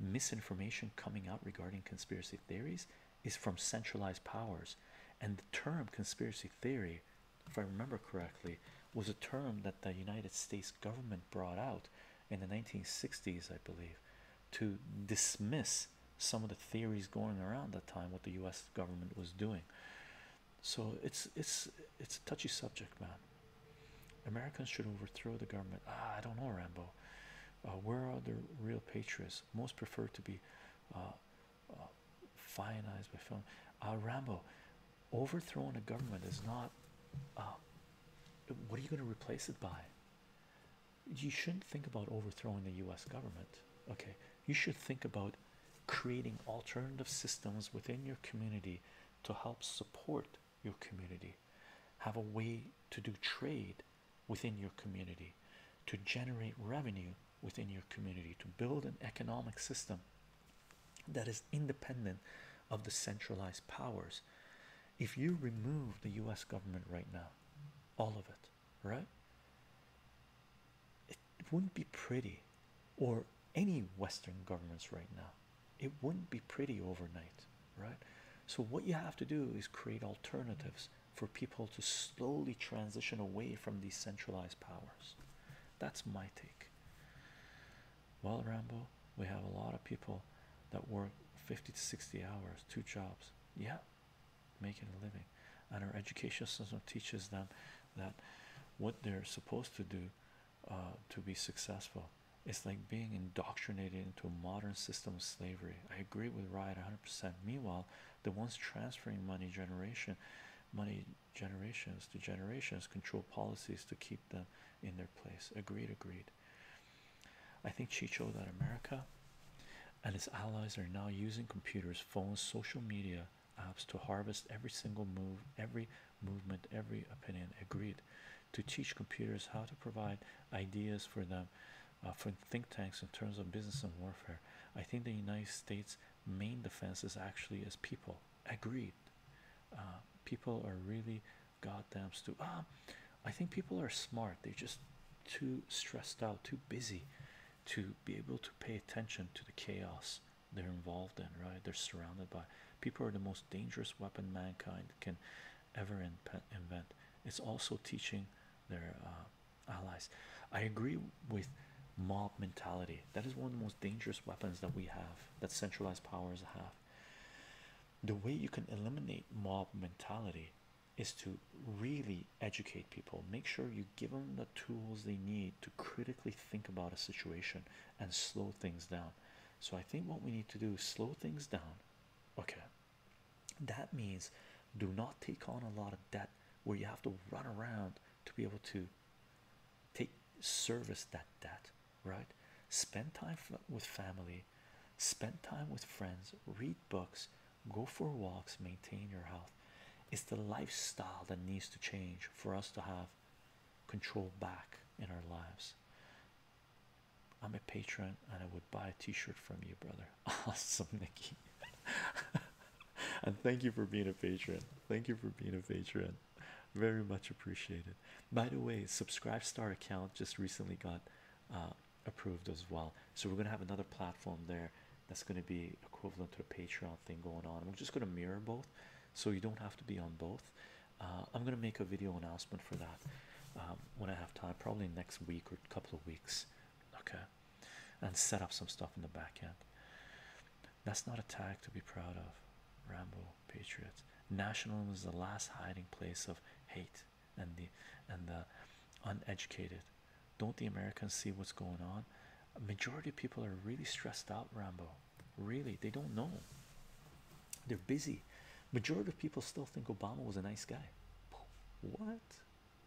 misinformation coming out regarding conspiracy theories is from centralized powers, and the term conspiracy theory if I remember correctly, was a term that the United States government brought out in the 1960s, I believe, to dismiss some of the theories going around that time what the US government was doing. So it's it's it's a touchy subject, man. Americans should overthrow the government. Ah, I don't know, Rambo. Uh, where are the real patriots? Most prefer to be uh, Oh, finalized by film. Uh, Rambo, overthrowing a government is not. Uh, what are you going to replace it by? You shouldn't think about overthrowing the U.S. government. Okay, you should think about creating alternative systems within your community to help support your community, have a way to do trade within your community, to generate revenue within your community to build an economic system that is independent of the centralized powers. If you remove the US government right now, all of it, right? It, wouldn't be pretty, or any Western governments right now, it wouldn't be pretty overnight, right? So, what you have to do is create alternatives for people to slowly transition away from these centralized powers. That's my take. Well, Rambo, we have a lot of people that work 50 to 60 hours, two jobs, yeah, making a living. And our education system teaches them that what they're supposed to do uh, to be successful. It's like being indoctrinated into a modern system of slavery. I agree with Riot 100%. Meanwhile, the ones transferring money generation, money generations to generations control policies to keep them in their place agreed agreed i think chicho that america and its allies are now using computers phones social media apps to harvest every single move every movement every opinion agreed to teach computers how to provide ideas for them uh, for think tanks in terms of business and warfare i think the united states main defense is actually is people. Agreed. Uh, people are really goddamn stupid. Ah, I think people are smart. They're just too stressed out, too busy to be able to pay attention to the chaos they're involved in. Right? They're surrounded by. People are the most dangerous weapon mankind can ever invent. It's also teaching their uh, allies. I agree with mob mentality. That is one of the most dangerous weapons that we have, that centralized powers have. The way you can eliminate mob mentality is to really educate people, make sure you give them the tools they need to critically think about a situation and slow things down. So, I think what we need to do is slow things down. Okay, that means do not take on a lot of debt where you have to run around to be able to take service that debt right spend time with family spend time with friends read books go for walks maintain your health it's the lifestyle that needs to change for us to have control back in our lives i'm a patron and i would buy a t-shirt from you brother awesome nikki and thank you for being a patron. Thank you for being a patron. Very much appreciated. By the way, subscribe star account just recently got uh, approved as well. So we're gonna have another platform there that's gonna be equivalent to the Patreon thing going on. We're just gonna mirror both, so you don't have to be on both. Uh, I'm gonna make a video announcement for that um, when I have time, probably next week or a couple of weeks. Okay, and set up some stuff in the backend. That's not a tag to be proud of. Rambo Patriots. Nationalism is the last hiding place of hate and the and the uneducated. Don't the Americans see what's going on? majority of people are really stressed out, Rambo. Really, they don't know. They're busy. Majority of people still think Obama was a nice guy. What?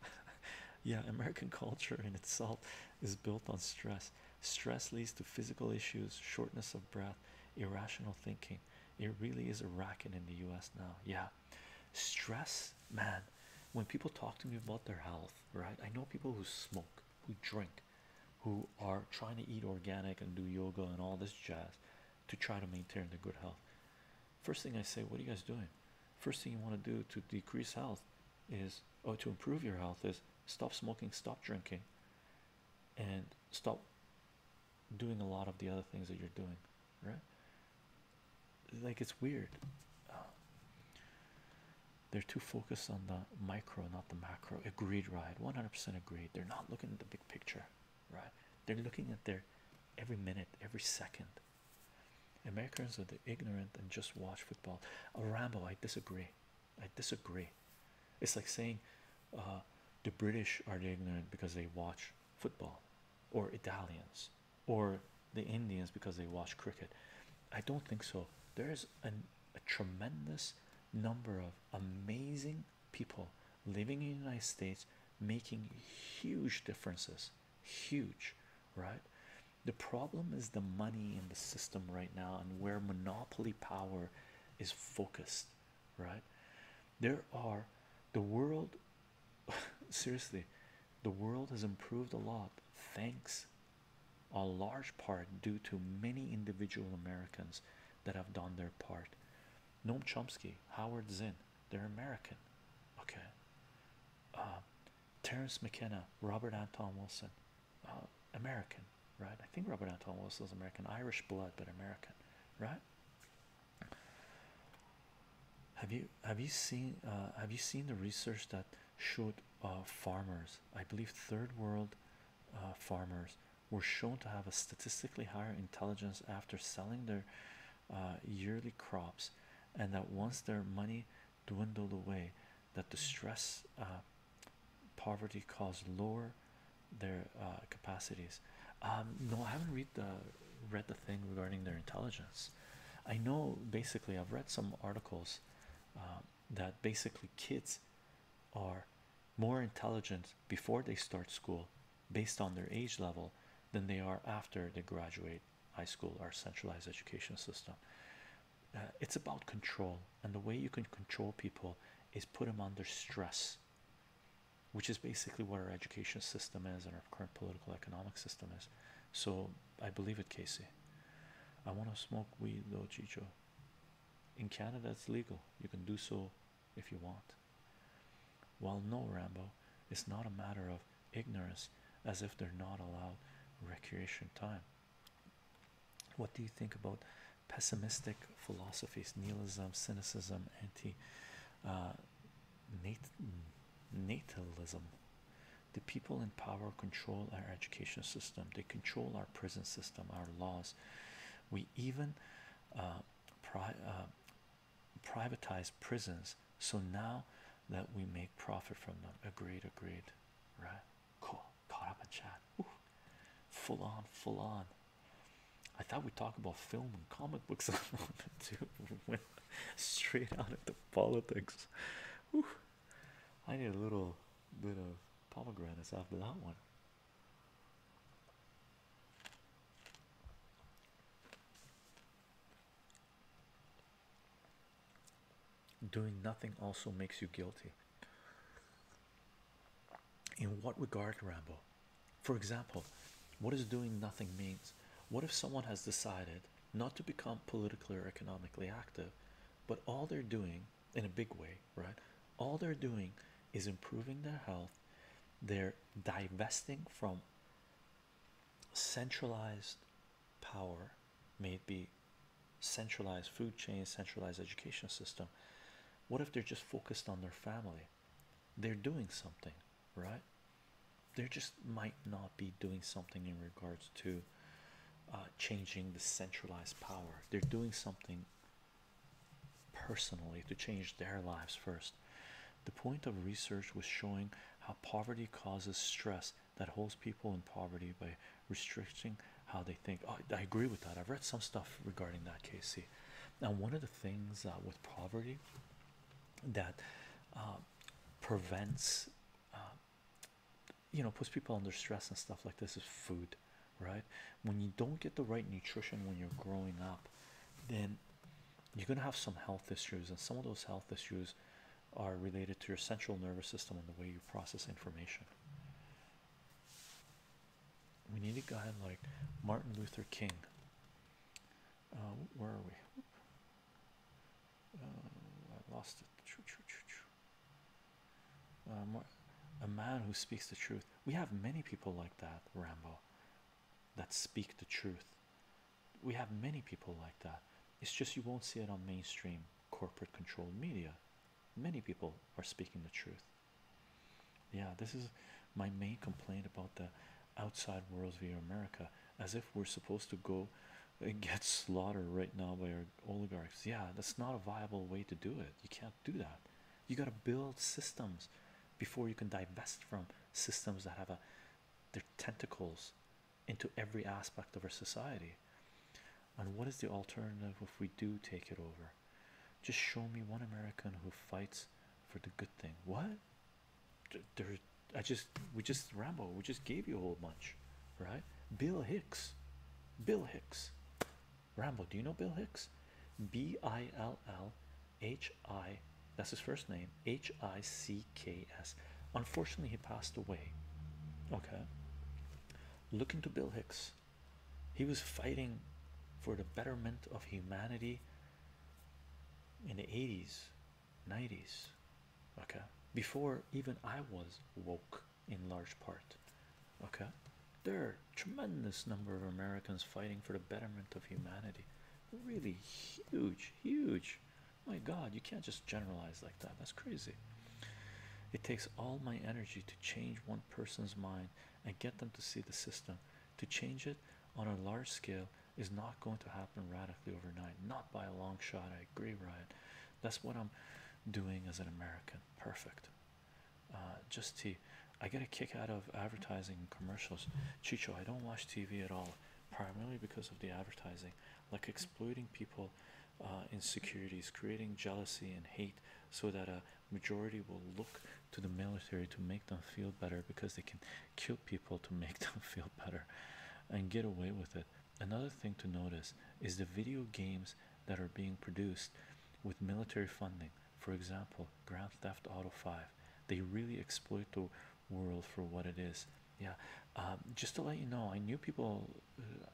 yeah, American culture in itself is built on stress. Stress leads to physical issues, shortness of breath, irrational thinking. It really is a racket in the US now. Yeah. Stress, man. When people talk to me about their health, right? I know people who smoke, who drink, who are trying to eat organic and do yoga and all this jazz to try to maintain their good health. First thing I say, what are you guys doing? First thing you want to do to decrease health is or oh, to improve your health is stop smoking, stop drinking, and stop doing a lot of the other things that you're doing, right? Like it's weird. they're too focused on the micro, not the macro. Agreed, right? 100% agreed. They're not looking at the big picture, right? They're looking at their every minute, every second. Americans are the ignorant and just watch football. Oh, Rambo, I disagree. I disagree. It's like saying uh, the British are the ignorant because they watch football, or Italians, or the Indians because they watch cricket. I don't think so. There's an, a tremendous number of amazing people living in the United States making huge differences, huge, right? The problem is the money in the system right now and where monopoly power is focused, right? There are the world, seriously, the world has improved a lot thanks a large part due to many individual Americans that have done their part. Noam Chomsky, Howard Zinn, they're American, okay. Uh, Terence McKenna, Robert Anton Wilson, uh, American, right? I think Robert Anton Wilson was American, Irish blood, but American, right? Have you have you seen uh, have you seen the research that showed uh, farmers? I believe third world farmers were shown to have a statistically higher intelligence after selling their yearly crops, and that once their money dwindled away that the stress uh, poverty caused lower their uh, capacities um, no i haven't read the read the thing regarding their intelligence i know basically i've read some articles uh, that basically kids are more intelligent before they start school based on their age level than they are after they graduate high school or centralized education system uh, it's about control, and the way you can control people is put them under stress, which is basically what our education system is and our current political economic system is. So I believe it, Casey. I want to smoke weed though, Chicho. In Canada, it's legal. You can do so if you want. Well, no, Rambo. It's not a matter of ignorance, as if they're not allowed recreation time. What do you think about pessimistic philosophies, nihilism, cynicism, anti uh, natalism? The people in power control our education system, they control our prison system, our laws. We even uh, uh, privatize prisons so now that we make profit from them. Agreed, agreed, right? Cool caught up in chat. full on, full on. I thought we would talk about film and comic books on too. Went straight out into politics. Ooh, I need a little bit of pomegranates after that one. Doing nothing also makes you guilty. In what regard, Rambo? For example, what does doing nothing means? What if someone has decided not to become politically or economically active, but all they're doing in a big way, right? All they're doing is improving their health, they're divesting from centralized power, may it be centralized food chain, centralized education system. What if they're just focused on their family? They're doing something, right? They just might not be doing something in regards to uh, changing the centralized power. They're doing something personally to change their lives first. The point of research was showing how poverty causes stress that holds people in poverty by restricting how they think. Oh, I agree with that. I've read some stuff regarding that, Casey. Now, one of the things uh, with poverty that uh, prevents, uh, you know, puts people under stress and stuff like this is food, right? When you don't get the right nutrition when you're growing up, then you're going to have some health issues, and some of those health issues are related to your central nervous system and the way you process information we need a guy like Martin Luther King. Uh, where are we? Uh, I lost it. Uh, a man who speaks the truth. We have many people like that, Rambo, that speak the truth. We have many people like that. It's just you won't see it on mainstream corporate controlled media. Many people are speaking the truth. Yeah, this is my main complaint about the outside world view America, as if we're supposed to go and get slaughtered right now by our oligarchs. Yeah, that's not a viable way to do it. You can't do that. You got to build systems before you can divest from systems that have a their tentacles into every aspect of our society. And what is the alternative if we do take it over? Just show me one American who fights for the good thing. What? There, I just we just Rambo. We just gave you a whole bunch, right? Bill Hicks, Bill Hicks, Rambo. Do you know Bill Hicks? B I L L H I. That's his first name. H I C K S. Unfortunately, he passed away. Okay. Look into Bill Hicks. He was fighting for the betterment of humanity in the 80s, 90s, okay, before even I was woke in large part. Okay, there are tremendous number of Americans fighting for the betterment of humanity. Really huge, huge. My God, you can't just generalize like that. That's crazy. It takes all my energy to change one person's mind and get them to see the system. To change it on a large scale is not going to happen radically overnight, not by a long shot. I agree, Ryan. That's what I'm doing as an American. Perfect. Uh, just just I get a kick out of advertising and commercials. Chicho, I don't watch TV at all, primarily because of the advertising, like exploiting people uh, insecurities, creating jealousy and hate, so that a majority will look to the military to make them feel better because they can kill people to make them feel better and get away with it. Another thing to notice is the video games that are being produced with military funding. For example, Grand Theft Auto 5. They really exploit the world for what it is. Yeah, um, just to let you know, I knew people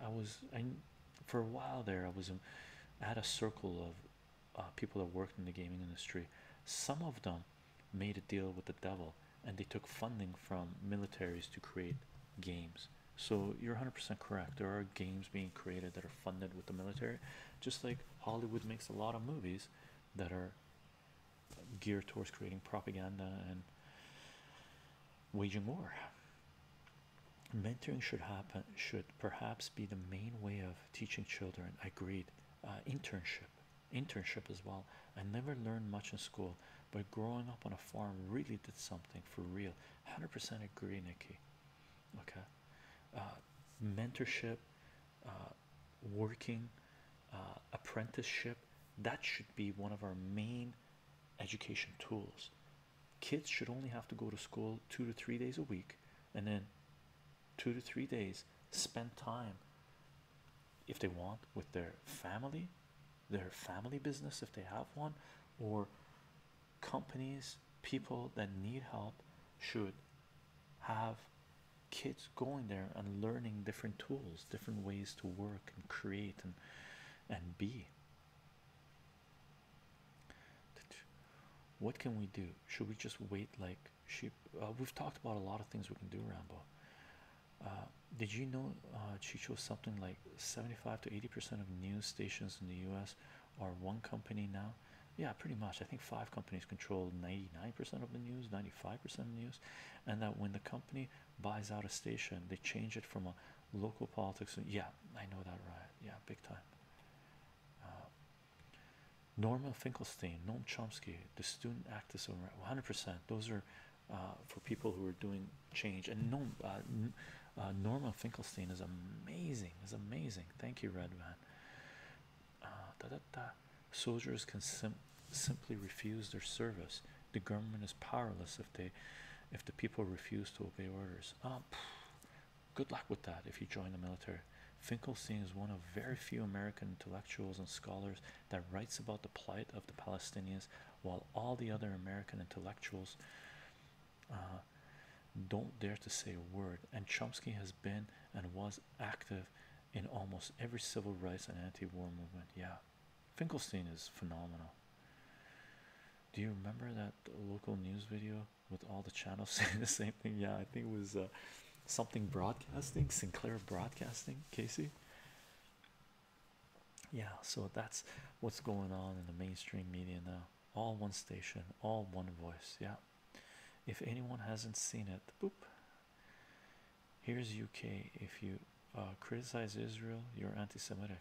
I was I for a while there I was had a circle of uh, people that worked in the gaming industry. Some of them made a deal with the devil and they took funding from militaries to create games. So you're 100% correct. There are games being created that are funded with the military, just like Hollywood makes a lot of movies that are geared towards creating propaganda and waging war mentoring should happen should perhaps be the main way of teaching children agreed uh, internship internship as well i never learned much in school but growing up on a farm really did something for real 100% agree nikki okay uh, mentorship uh, working uh, apprenticeship that should be one of our main education tools kids should only have to go to school two to three days a week and then two to three days spend time if they want with their family their family business if they have one or companies people that need help should have kids going there and learning different tools different ways to work and create and and be what can we do? Should we just wait like she, uh, we've talked about a lot of things we can do, Rambo. Uh, did you know, she uh, chose something like 75 to 80% of news stations in the US are one company now? Yeah, pretty much. I think five companies control 99% of the news, 95% of news, and that when the company buys out a station, they change it from a local politics. Yeah, I know that right. Yeah, big time. Uh, Norma Finkelstein, Noam Chomsky, the student activism, 100%. Those are uh, for people who are doing change. And Noam, uh, uh Finkelstein is amazing. Is amazing. Thank you, Red Soldiers can simply refuse their service. The government is powerless if the people refuse to obey orders um, good luck with that if you join the military finkelstein is one of very few american intellectuals and scholars that writes about the plight of the palestinians while all the other american intellectuals uh, don't dare to say a word and chomsky has been and was active in almost every civil rights and anti-war movement yeah finkelstein is phenomenal do you remember that local news video with all the channels saying the same thing? Yeah, I think it was uh, something broadcasting, Sinclair Broadcasting, Casey. Yeah, so that's what's going on in the mainstream media now. All one station, all one voice. Yeah, if anyone hasn't seen it, boop. Here's UK. If you uh, criticize Israel, you're anti Semitic.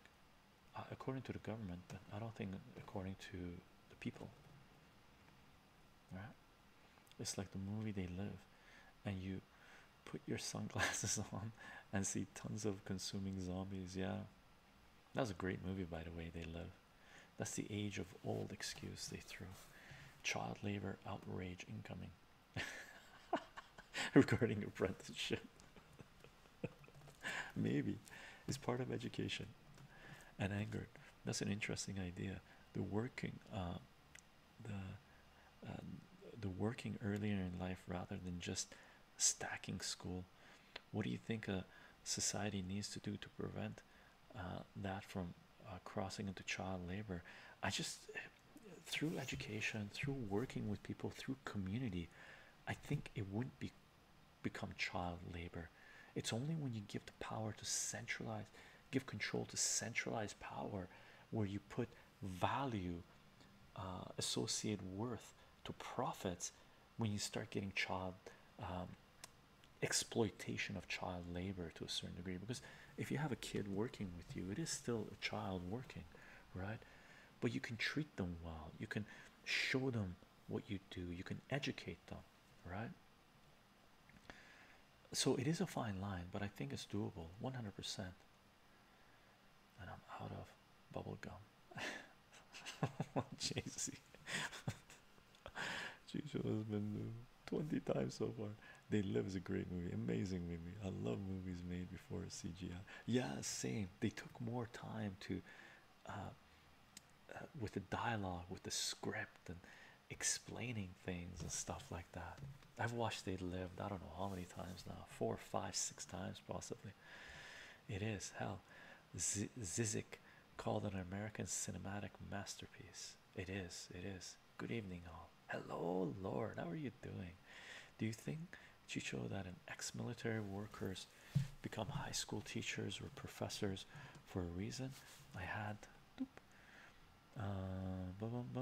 Uh, according to the government, but I don't think according to the people. Right? It's like the movie they live, and you put your sunglasses on and see tons of consuming zombies. Yeah, that was a great movie, by the way. They live. That's the age of old excuse they threw. Child labor outrage incoming regarding apprenticeship. Maybe it's part of education and anger. That's an interesting idea. The working, uh, the um, the working earlier in life rather than just stacking school. What do you think a society needs to do to prevent uh, that from uh, crossing into child labor? I just through education, through working with people, through community, I think it wouldn't be become child labor. It's only when you give the power to centralize, give control to centralized power, where you put value, uh, associate worth to profits, when you start getting child um, exploitation of child labor to a certain degree. Because if you have a kid working with you, it is still a child working, right? But you can treat them well. You can show them what you do you can educate them right so it is a fine line but i think it's doable 100% and i'm out of bubble gum jesus jesus has been 20 times so far they live is a great movie amazing movie i love movies made before cgi yeah same they took more time to uh, uh, with the dialogue, with the script, and explaining things and stuff like that. I've watched They Live*. I don't know how many times now four, five, six times possibly. It is hell. Z called it an American cinematic masterpiece. It is, it is. Good evening, all. Hello, Lord. How are you doing? Do you think Chicho that an ex-military workers become high school teachers or professors for a reason. I had uh,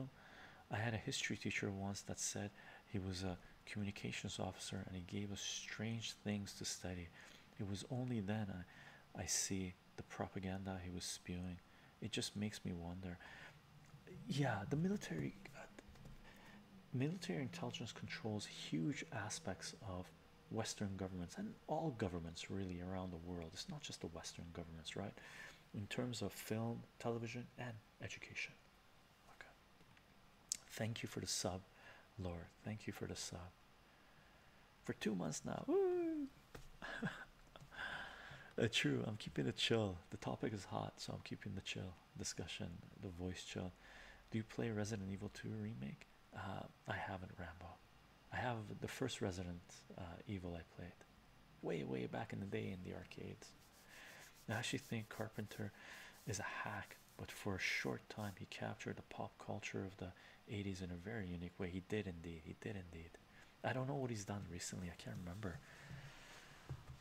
I had a history teacher once that said he was a communications officer and he gave us strange things to study. It was only then I see the propaganda he was spewing. It just makes me wonder. Yeah, the military uh, military intelligence controls huge aspects of Western governments and all governments really around the world. It's not just the Western governments, right? In terms of film, television, and education. Okay. Thank you for the sub, Lord. Thank you for the sub. For two months now. uh, true. I'm keeping it chill. The topic is hot, so I'm keeping the chill discussion the voice chill do you play resident evil 2 remake uh, i haven't rambo i have the first resident uh, evil i played way way back in the day in the arcades i actually think carpenter is a hack but for a short time he captured the pop culture of the 80s in a very unique way he did indeed he did indeed i don't know what he's done recently i can't remember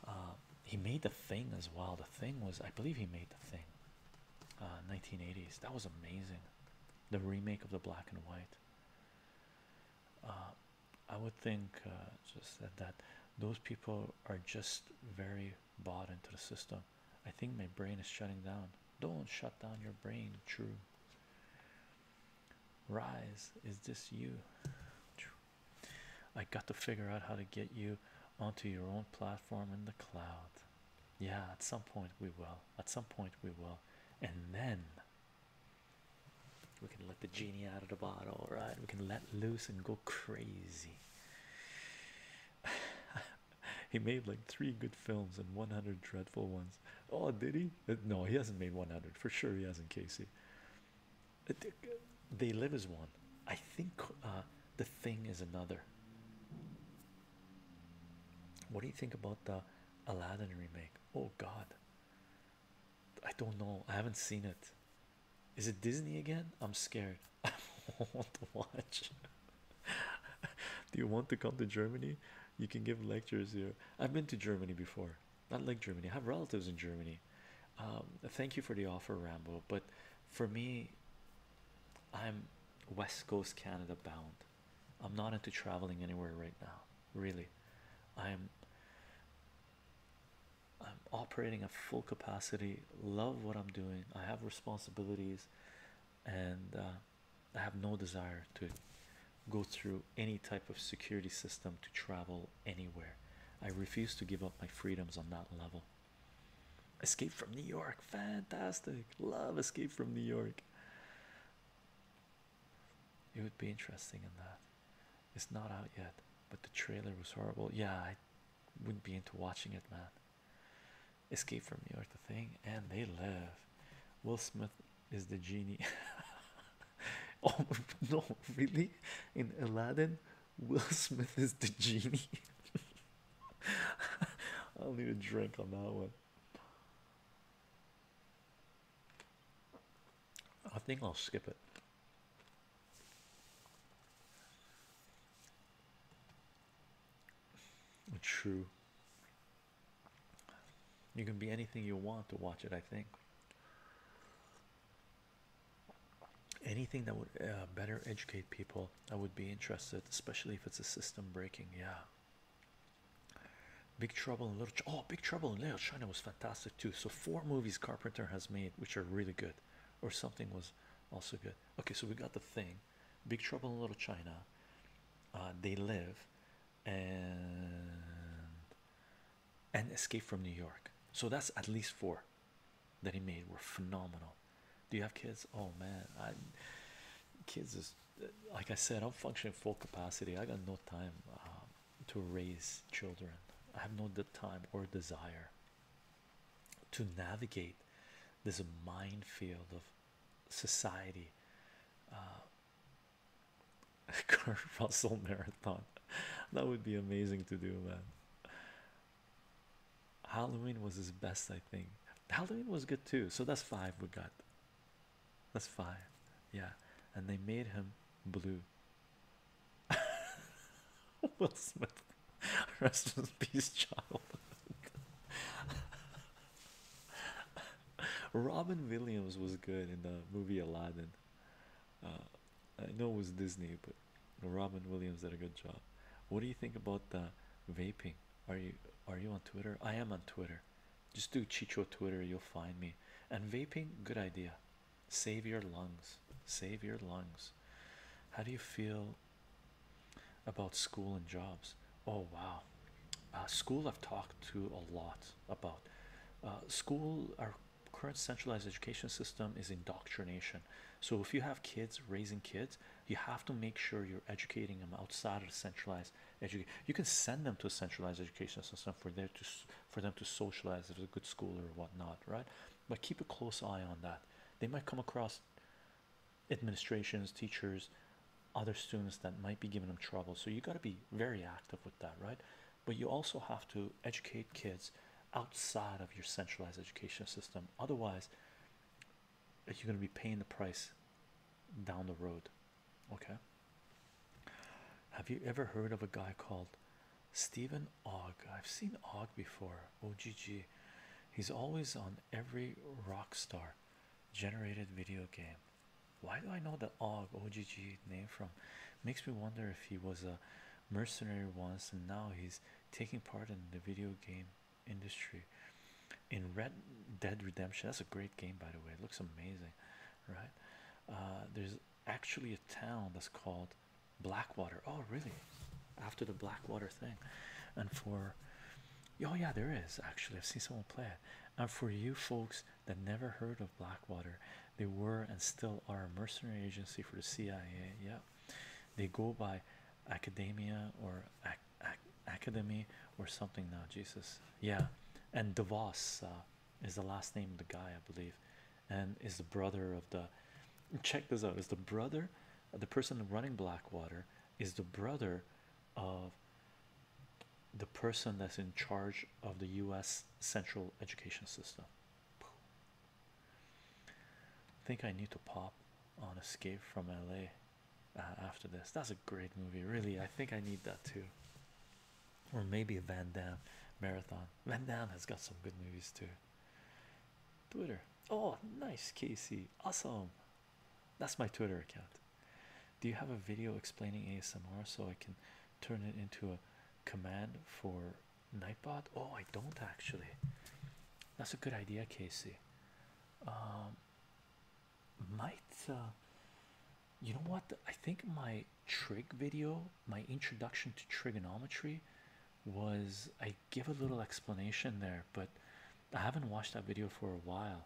uh, he made the thing as well. The thing was, I believe, he made the thing. 1980s. Uh, that was amazing. The remake of the black and white. Uh, I would think uh, just that, those people are just very bought into the system. I think my brain is shutting down. Don't shut down your brain. True. Rise, is this you? I got to figure out how to get you onto your own platform. Form in the cloud. Yeah, at some point we will. At some point we will. And then we can let the genie out of the bottle, right? We can let loose and go crazy. he made like three good films and 100 dreadful ones. Oh, did he? Uh, no, he hasn't made 100 for sure. He hasn't, Casey. Uh, uh, they live as one. I think the thing is another. What do you think about the Aladdin remake? Oh god, I don't know, I haven't seen it. Is it Disney again? I'm scared. I don't want to watch. do you want to come to Germany? You can give lectures here. I've been to Germany before. Not like Germany. I have relatives in Germany. Um, thank you for the offer, Rambo. But for me, I'm West Coast Canada bound. I'm not into traveling anywhere right now, really. I'm I'm operating at full capacity, love what I'm doing. I have responsibilities and uh, I have no desire to go through any type of security system to travel anywhere. I refuse to give up my freedoms on that level. Escape from New York, fantastic. Love Escape from New York. It would be interesting in that. It's not out yet, but the trailer was horrible. Yeah, I wouldn't be into watching it, man. Escape from New York, the thing, and they live. Will Smith is the genie. oh no, really? In Aladdin, Will Smith is the genie. I'll need a drink on that one. I think I'll skip it. True. You can be anything you want to watch it, I think anything that would uh, better educate people i would be interested especially if it's a system breaking yeah big trouble in little oh big trouble in little china was fantastic too so four movies carpenter has made which are really good or something was also good okay so we got the thing big trouble in little china uh, they live and and escape from new york so that's at least four that he made were phenomenal. Do you have kids? Oh man, I kids is like I said, I'm functioning full capacity. I got no time um, to raise children. I have no time or desire to navigate this minefield of society. Uh, Kurt Russell marathon, that would be amazing to do, man. Halloween was his best, I think. Halloween was good too, so that's five we got. That's five, yeah. And they made him blue. Will Smith, rest in child. Robin Williams was good in the movie Aladdin. Uh, I know it was Disney, but Robin Williams did a good job. What do you think about the vaping? Are you are you on Twitter? I am on Twitter. Just do Chicho Twitter, you'll find me. And vaping, good idea. Save your lungs. Save your lungs. How do you feel about school and jobs? Oh wow. Uh, school I've talked to a lot about. Uh, school, our current centralized education system is indoctrination. So if you have kids raising kids, you have to make sure you're educating them outside of the centralized education you can send them to a centralized education system for for them to socialize if it's a good school or whatnot right but keep a close eye on that they might come across administrations teachers other students that might be giving them trouble so you got to be very active with that right but you also have to educate kids outside of your centralized education system otherwise you're going to be paying the price down the road. Okay. Have you ever heard of a guy called Stephen Og? I've seen Og before. OGG. He's always on every rock star generated video game. Why do I know the Og OGG name from? Makes me wonder if he was a mercenary once and now he's taking part in the video game industry in Red Dead Redemption. That's a great game, by the way. It looks amazing, right? Uh, there's actually a town that's called Blackwater. Oh, really? After the Blackwater thing, and for oh yeah, there is actually. I've seen someone play it. And for you folks that never heard of Blackwater, they were and still are a mercenary agency for the CIA. Yeah, they go by academia or ac ac academy or something now jesus yeah and devos uh, is the last name of the guy i believe and is the brother of the check this out is the brother the person running blackwater is the brother of the person that's in charge of the u.s central education system I think I need to pop on Escape from LA uh, after this. That's a great movie, really. I think I need that too. Or maybe a Van Damme marathon. Van Damme has got some good movies too. Twitter. Oh, nice, Casey. Awesome. That's my Twitter account. Do you have a video explaining ASMR so I can turn it into a command for Nightbot? Oh, I don't actually. That's a good idea, Casey. Um, might uh, you know what? I think my trig video, my introduction to trigonometry, was I give a little explanation there, but I haven't watched that video for a while.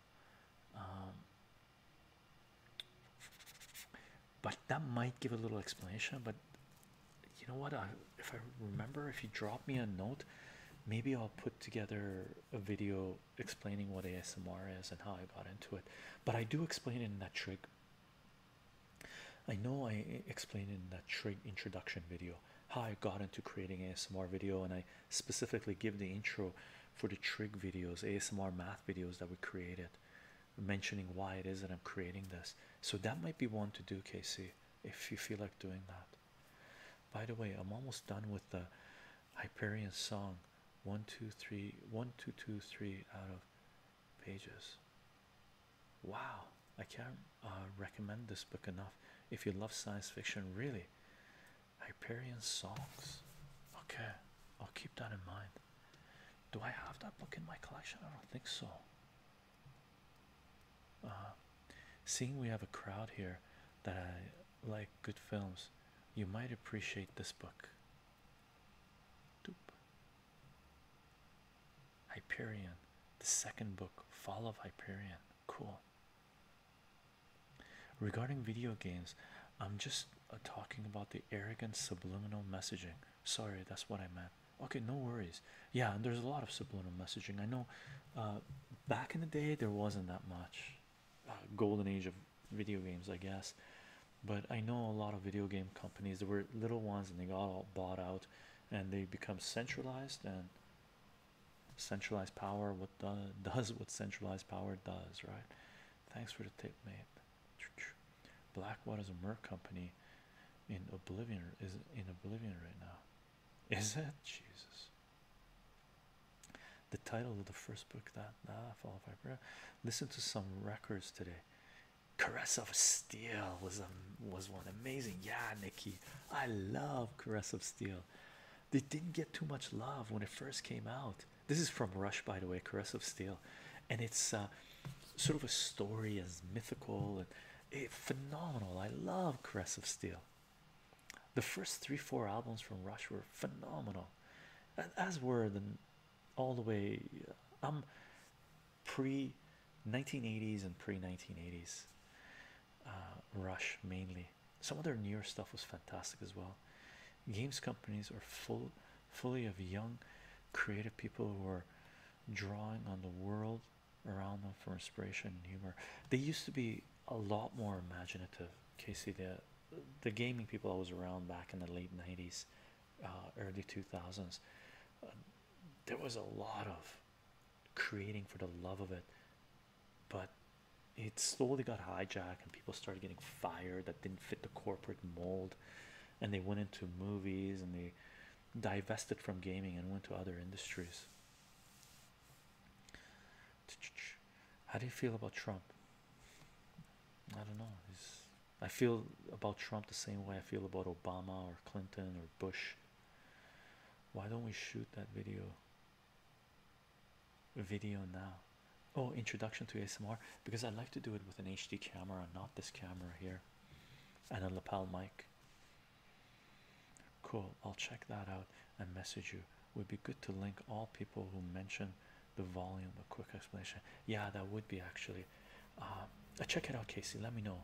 Um, but that might give a little explanation, but you know what if I remember if you drop me a note maybe I'll put together a video explaining what ASMR is and how I got into it but I do explain in that trick. I know I explained in that trick introduction video how I got into creating ASMR video and I specifically give the intro for the trick videos ASMR math videos that we created mentioning why it is that I'm creating this so that might be one to do Casey if you feel like doing that by the way, I'm almost done with the Hyperion song. One, two, three, one, two, two, three out of pages. Wow, I can't uh, recommend this book enough. If you love science fiction, really, Hyperion songs. Okay, I'll keep that in mind. Do I have that book in my collection? I don't think so. Uh, seeing we have a crowd here that like good films, you might appreciate this book. Hyperion, the second book, Fall of Hyperion. Cool. Regarding video games, I'm just uh, talking about the arrogant subliminal messaging. Sorry, that's what I meant okay no worries yeah and there's a lot of subliminal messaging i know uh, back in the day there wasn't that much uh, golden age of video games i guess but i know a lot of video game companies there were little ones and they got all bought out and they become centralized and centralized power what the, does what centralized power does right thanks for the tip mate blackwater is a merc company in oblivion is in oblivion right now is it Jesus? The title of the first book that nah, followed by prayer. Listen to some records today. Caress of Steel was a, um, was one amazing. Yeah, Nikki, I love Caress of Steel. They didn't get too much love when it first came out. This is from Rush, by the way. Caress of Steel, and it's uh, sort of a story as mythical it, eh, phenomenal. I love Crest of Steel. The first three, four albums from Rush were phenomenal, as were the all the way. Uh, um pre 1980s and pre 1980s uh, Rush mainly. Some of their newer stuff was fantastic as well. Games companies are full, fully of young, creative people who are drawing on the world around them for inspiration and humor. They used to be a lot more imaginative. Casey, the the gaming people I was around back in the late '90s, uh, early 2000s, uh, there was a lot of creating for the love of it, but it slowly got hijacked and people started getting fired that didn't fit the corporate mold, and they went into movies and they divested from gaming and went to other industries. How do you feel about Trump? I don't know. I feel about Trump the same way I feel about Obama or Clinton or Bush. Why don't we shoot that video? Video now. Oh, introduction to ASMR because I like to do it with an HD camera, not this camera here, and a lapel mic. Cool, I'll check that out and message you. Would be good to link all people who mention the volume a quick explanation. Yeah, that would be actually. Uh, uh check it out, Casey. Let me know.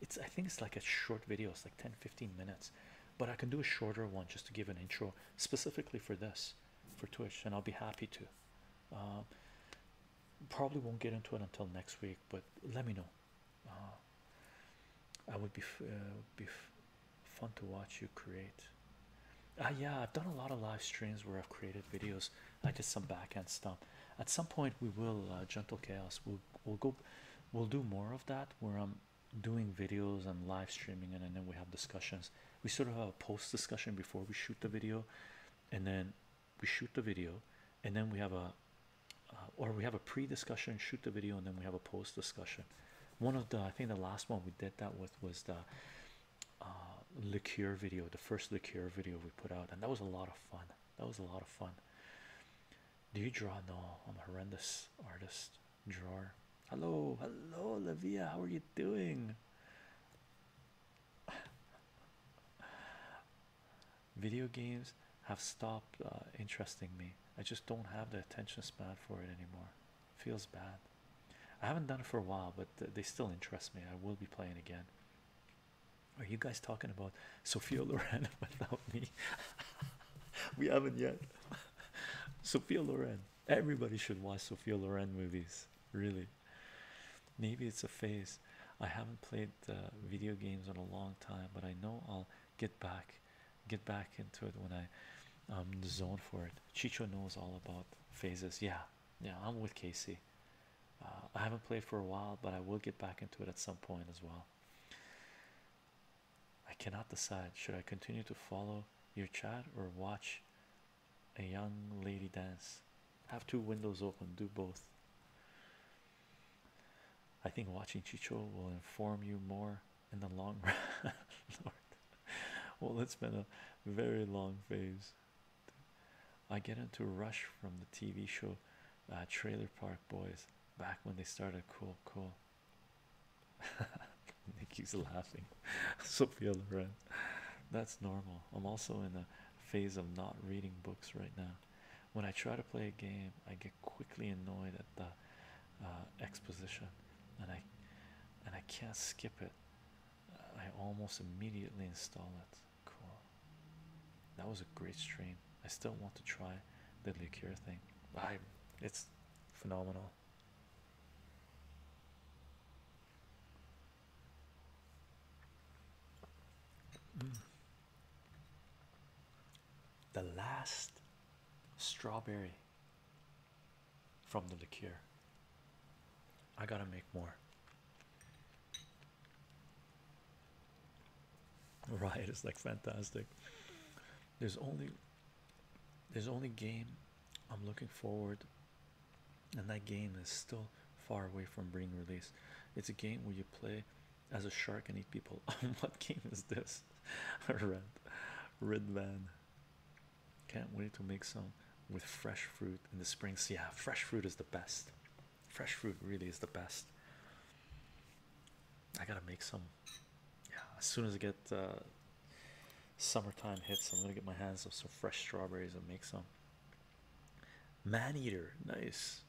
it's I think it's like a short video, it's like 10 15 minutes, but I can do a shorter one just to give an intro specifically for this for Twitch, and I'll be happy to. Um, probably won't get into it until next week, but let me know uh-huh. uh, I would be uh, be fun to watch you create. Ah, yeah, I've done a lot of live streams where I've created videos. I did some backhand stuff. At some point, we will uh, gentle chaos. We'll we'll go, we'll do more of that where I'm doing videos and live streaming, and then we have discussions. We sort of have a post discussion before we shoot the video, and then we shoot the video and then we have a uh, or we have a pre-discussion shoot the video and then we have a post discussion one of the i think the last one we did that with was the uh, liqueur video the first liqueur video we put out and that was a lot of fun that was a lot of fun do you draw no i'm a horrendous artist drawer hello hello Lavia. how are you doing Video games have stopped uh, interesting me. I just don't have the attention span for it anymore. Feels bad. I haven't done it for a while, but they still interest me. I will be playing again. Are you guys talking about Sophia Loren without me? we haven't yet. Sophia Loren. Everybody should watch Sophia Loren movies. Really. Maybe it's a phase. I haven't played uh, video games in a long time, but I know I'll get back get back into it when i um the zone for it chicho knows all about phases yeah yeah i'm with casey uh, i haven't played for a while but i will get back into it at some point as well i cannot decide should i continue to follow your chat or watch a young lady dance have two windows open do both I think watching Chicho will inform you more in the long run. Well, it's been a very long phase. I get into a rush from the TV show uh, Trailer Park Boys back when they started. Cool, cool. Nikki's laughing. Sophia Loren. That's normal. I'm also in a phase of not reading books right now. When I try to play a game, I get quickly annoyed at the uh, exposition, and I and I can't skip it. I almost immediately install it. Cool. That was a great stream. I still want to try the liqueur thing. I, it's phenomenal the last strawberry from the liqueur. I gotta make more. Right, it's like fantastic. There's only there's only game I'm looking forward and that game is still far away from being released. It's a game where you play as a shark and eat people. what game is this? Red, red van. Can't wait to make some with fresh fruit in the spring. So yeah, fresh fruit is the best. Fresh fruit really is the best. I gotta make some. Yeah, as soon as I get uh, summertime hits, I'm gonna get my hands on some fresh strawberries and make some. Man eater, nice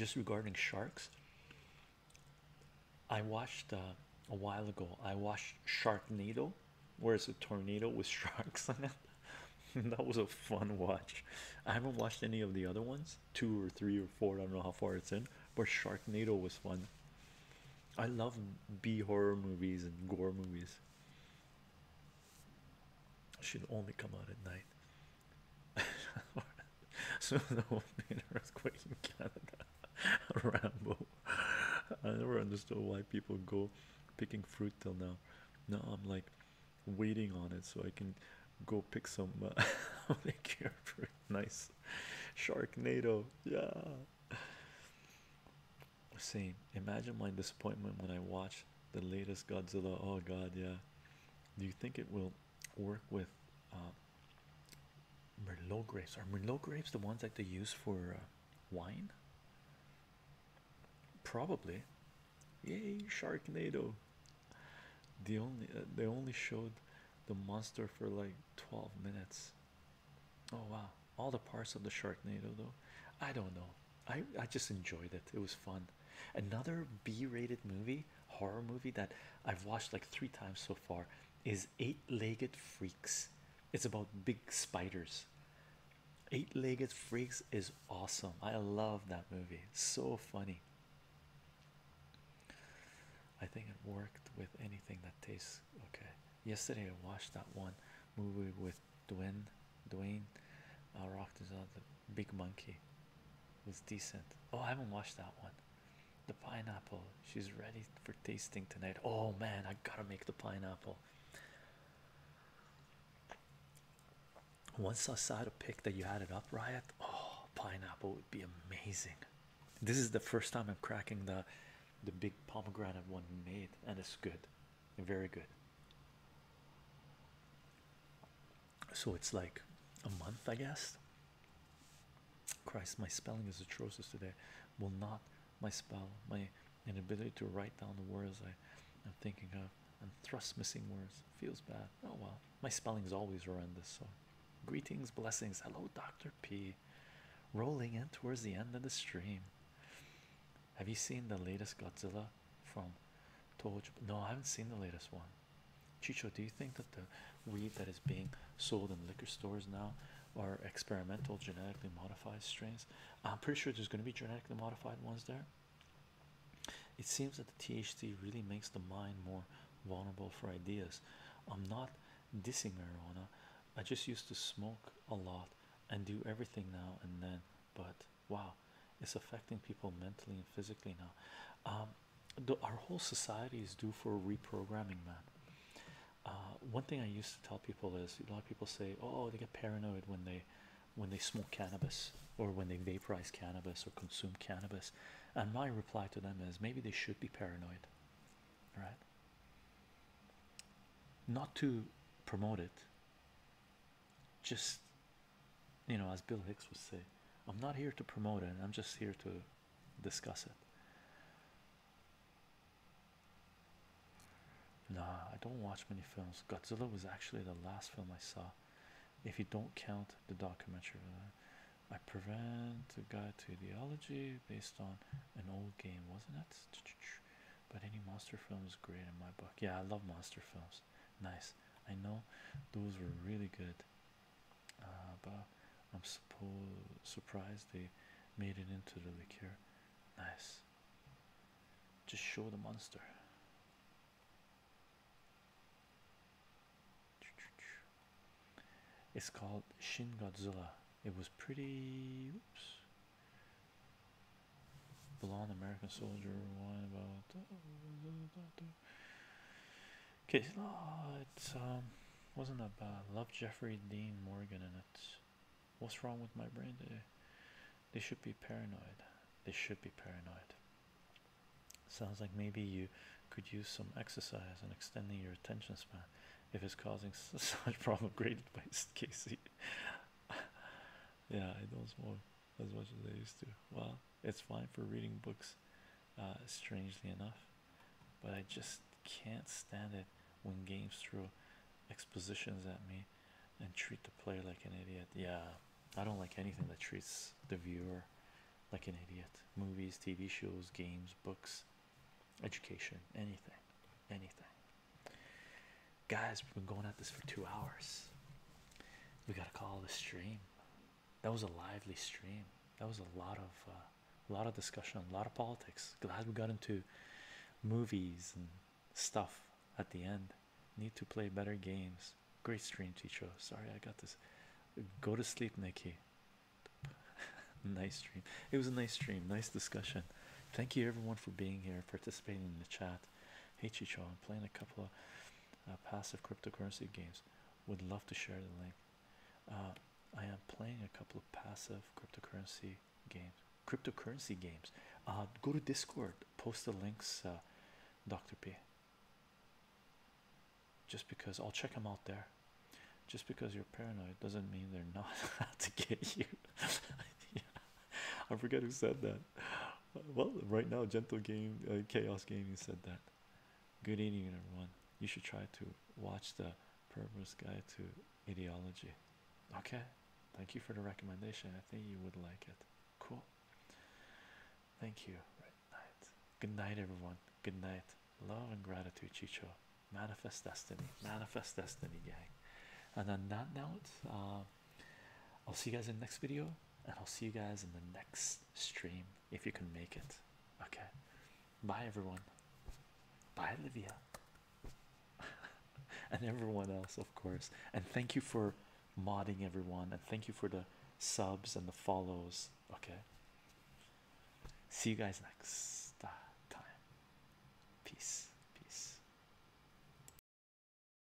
just regarding sharks i watched uh, a while ago i watched sharknado where it's a tornado with sharks on it that was a fun watch i haven't watched any of the other ones two or three or four i don't know how far it's in but sharknado was fun i love b horror movies and gore movies should only come out at night. so there will be an earthquake in Canada. Rambo. I never understood why people go picking fruit till now. Now I'm like waiting on it so I can go pick some Thank you, fruit. Nice. Sharknado. Yeah. Same. Imagine my disappointment when I watched the latest Godzilla. Oh God, yeah. Do you think it will work with uh, Merlot grapes? Are Merlot grapes the ones that they use for uh, wine? Probably. Yay, Sharknado! The only uh, they only showed the monster for like 12 minutes. Oh wow! All the parts of the Sharknado, though. I don't know. I, I just enjoyed it. It was fun. Another B rated movie, horror movie that I've watched like three times so far is Eight Legged Freaks. It's about big spiders. Eight Legged Freaks is awesome. I love that movie. so funny. I think it worked with anything that tastes okay. Yesterday I watched that one movie with. Dwayne. Dwayne uh, Rock is on the Big Monkey. Was decent. Oh, I haven't watched that one. The pineapple. She's ready for tasting tonight. Oh man, I gotta make the pineapple. Once I saw the pic that you had it up, Riot. Oh, pineapple would be amazing. This is the first time I'm cracking the the big pomegranate one made, and it's good very good. So it's like a month, I guess. Christ, my spelling is atrocious today. Will not my spell, my inability to write down the words I am thinking of, and thrust missing words feels bad. Oh well, my spelling is always horrendous. So, greetings, blessings. Hello, Dr. P. Rolling in towards the end of the stream. Have you seen the latest Godzilla from Toho? No, I haven't seen the latest one. Chicho, do you think that the weed that is being sold in liquor stores now are experimental genetically modified strains? I'm pretty sure there's going to be genetically modified ones there. It seems that the THC really makes the mind more vulnerable for ideas. I'm not dissing marijuana. I just used to smoke a lot and do everything now and then, but wow it's affecting people mentally and physically now um, our whole society is due for reprogramming man uh, one thing I used to tell people is a lot of people say oh they get paranoid when they when they smoke cannabis or when they vaporize cannabis or consume cannabis and my reply to them is maybe they should be paranoid right not to promote it just you know as bill hicks would say i'm not here to promote it i'm just here to discuss it nah i don't watch many films godzilla was actually the last film i saw if you don't count the documentary i prevent a guy to ideology based on an old game wasn't it but any monster film is great in my book yeah i love monster films Nice. I know those were really good. Uh, but I'm surprised they made it into the liquor. Nice. Just show the monster. It's called Shin Godzilla. It was pretty. Oops. Blonde American Soldier. One about. Okay, oh, it's um, wasn't that bad. Love Jeffrey Dean Morgan in it. What's wrong with my brain They should be paranoid. They should be paranoid. Sounds like maybe you could use some exercise and extending your attention span if it's causing such problem. Great advice, Casey. yeah, I don't smoke as much as they used to. Well, it's fine for reading books, uh, strangely enough, but I just can't stand it when games throw expositions at me and treat the player like an idiot. Yeah, I don't like anything that treats the viewer like an idiot. Movies, TV shows, games, books, education, anything, anything guys, we've been going at this for two hours. We got to call the stream. That was a lively stream. That was a lot of uh, a lot of discussion, a lot of politics. Glad we got into movies and stuff at the end. Need to play better games. Great stream, Ticho. Sorry, I got this. Go to sleep, Nikki. nice stream. It was a nice stream. Nice discussion. Thank you everyone for being here, participating in the chat. Hey Chicho, I'm playing a couple of uh, passive cryptocurrency games. Would love to share the link. Uh, I am playing a couple of passive cryptocurrency games. Cryptocurrency games. Uh, go to Discord. Post the links, Doctor P. Just because I'll check them out there. Just because you're paranoid doesn't mean they're not out to get you. I forget who said that. Well, right now, Gentle Game uh, Chaos Gaming said that. Good evening, everyone. You should try to watch the Perverse Guide to Ideology. Okay, thank you for the recommendation. I think you would like it. Cool. Thank you. Good night. Good night, everyone. Good night. Love and gratitude, Chicho. Manifest destiny. Manifest destiny, gang. And on that note, uh, I'll see you guys in the next video, and I'll see you guys in the next stream if you can make it. Okay, bye everyone. Bye, Olivia, and everyone else, of course. And thank you for modding everyone, and thank you for the subs and the follows. Okay, see you guys next time. Peace, peace.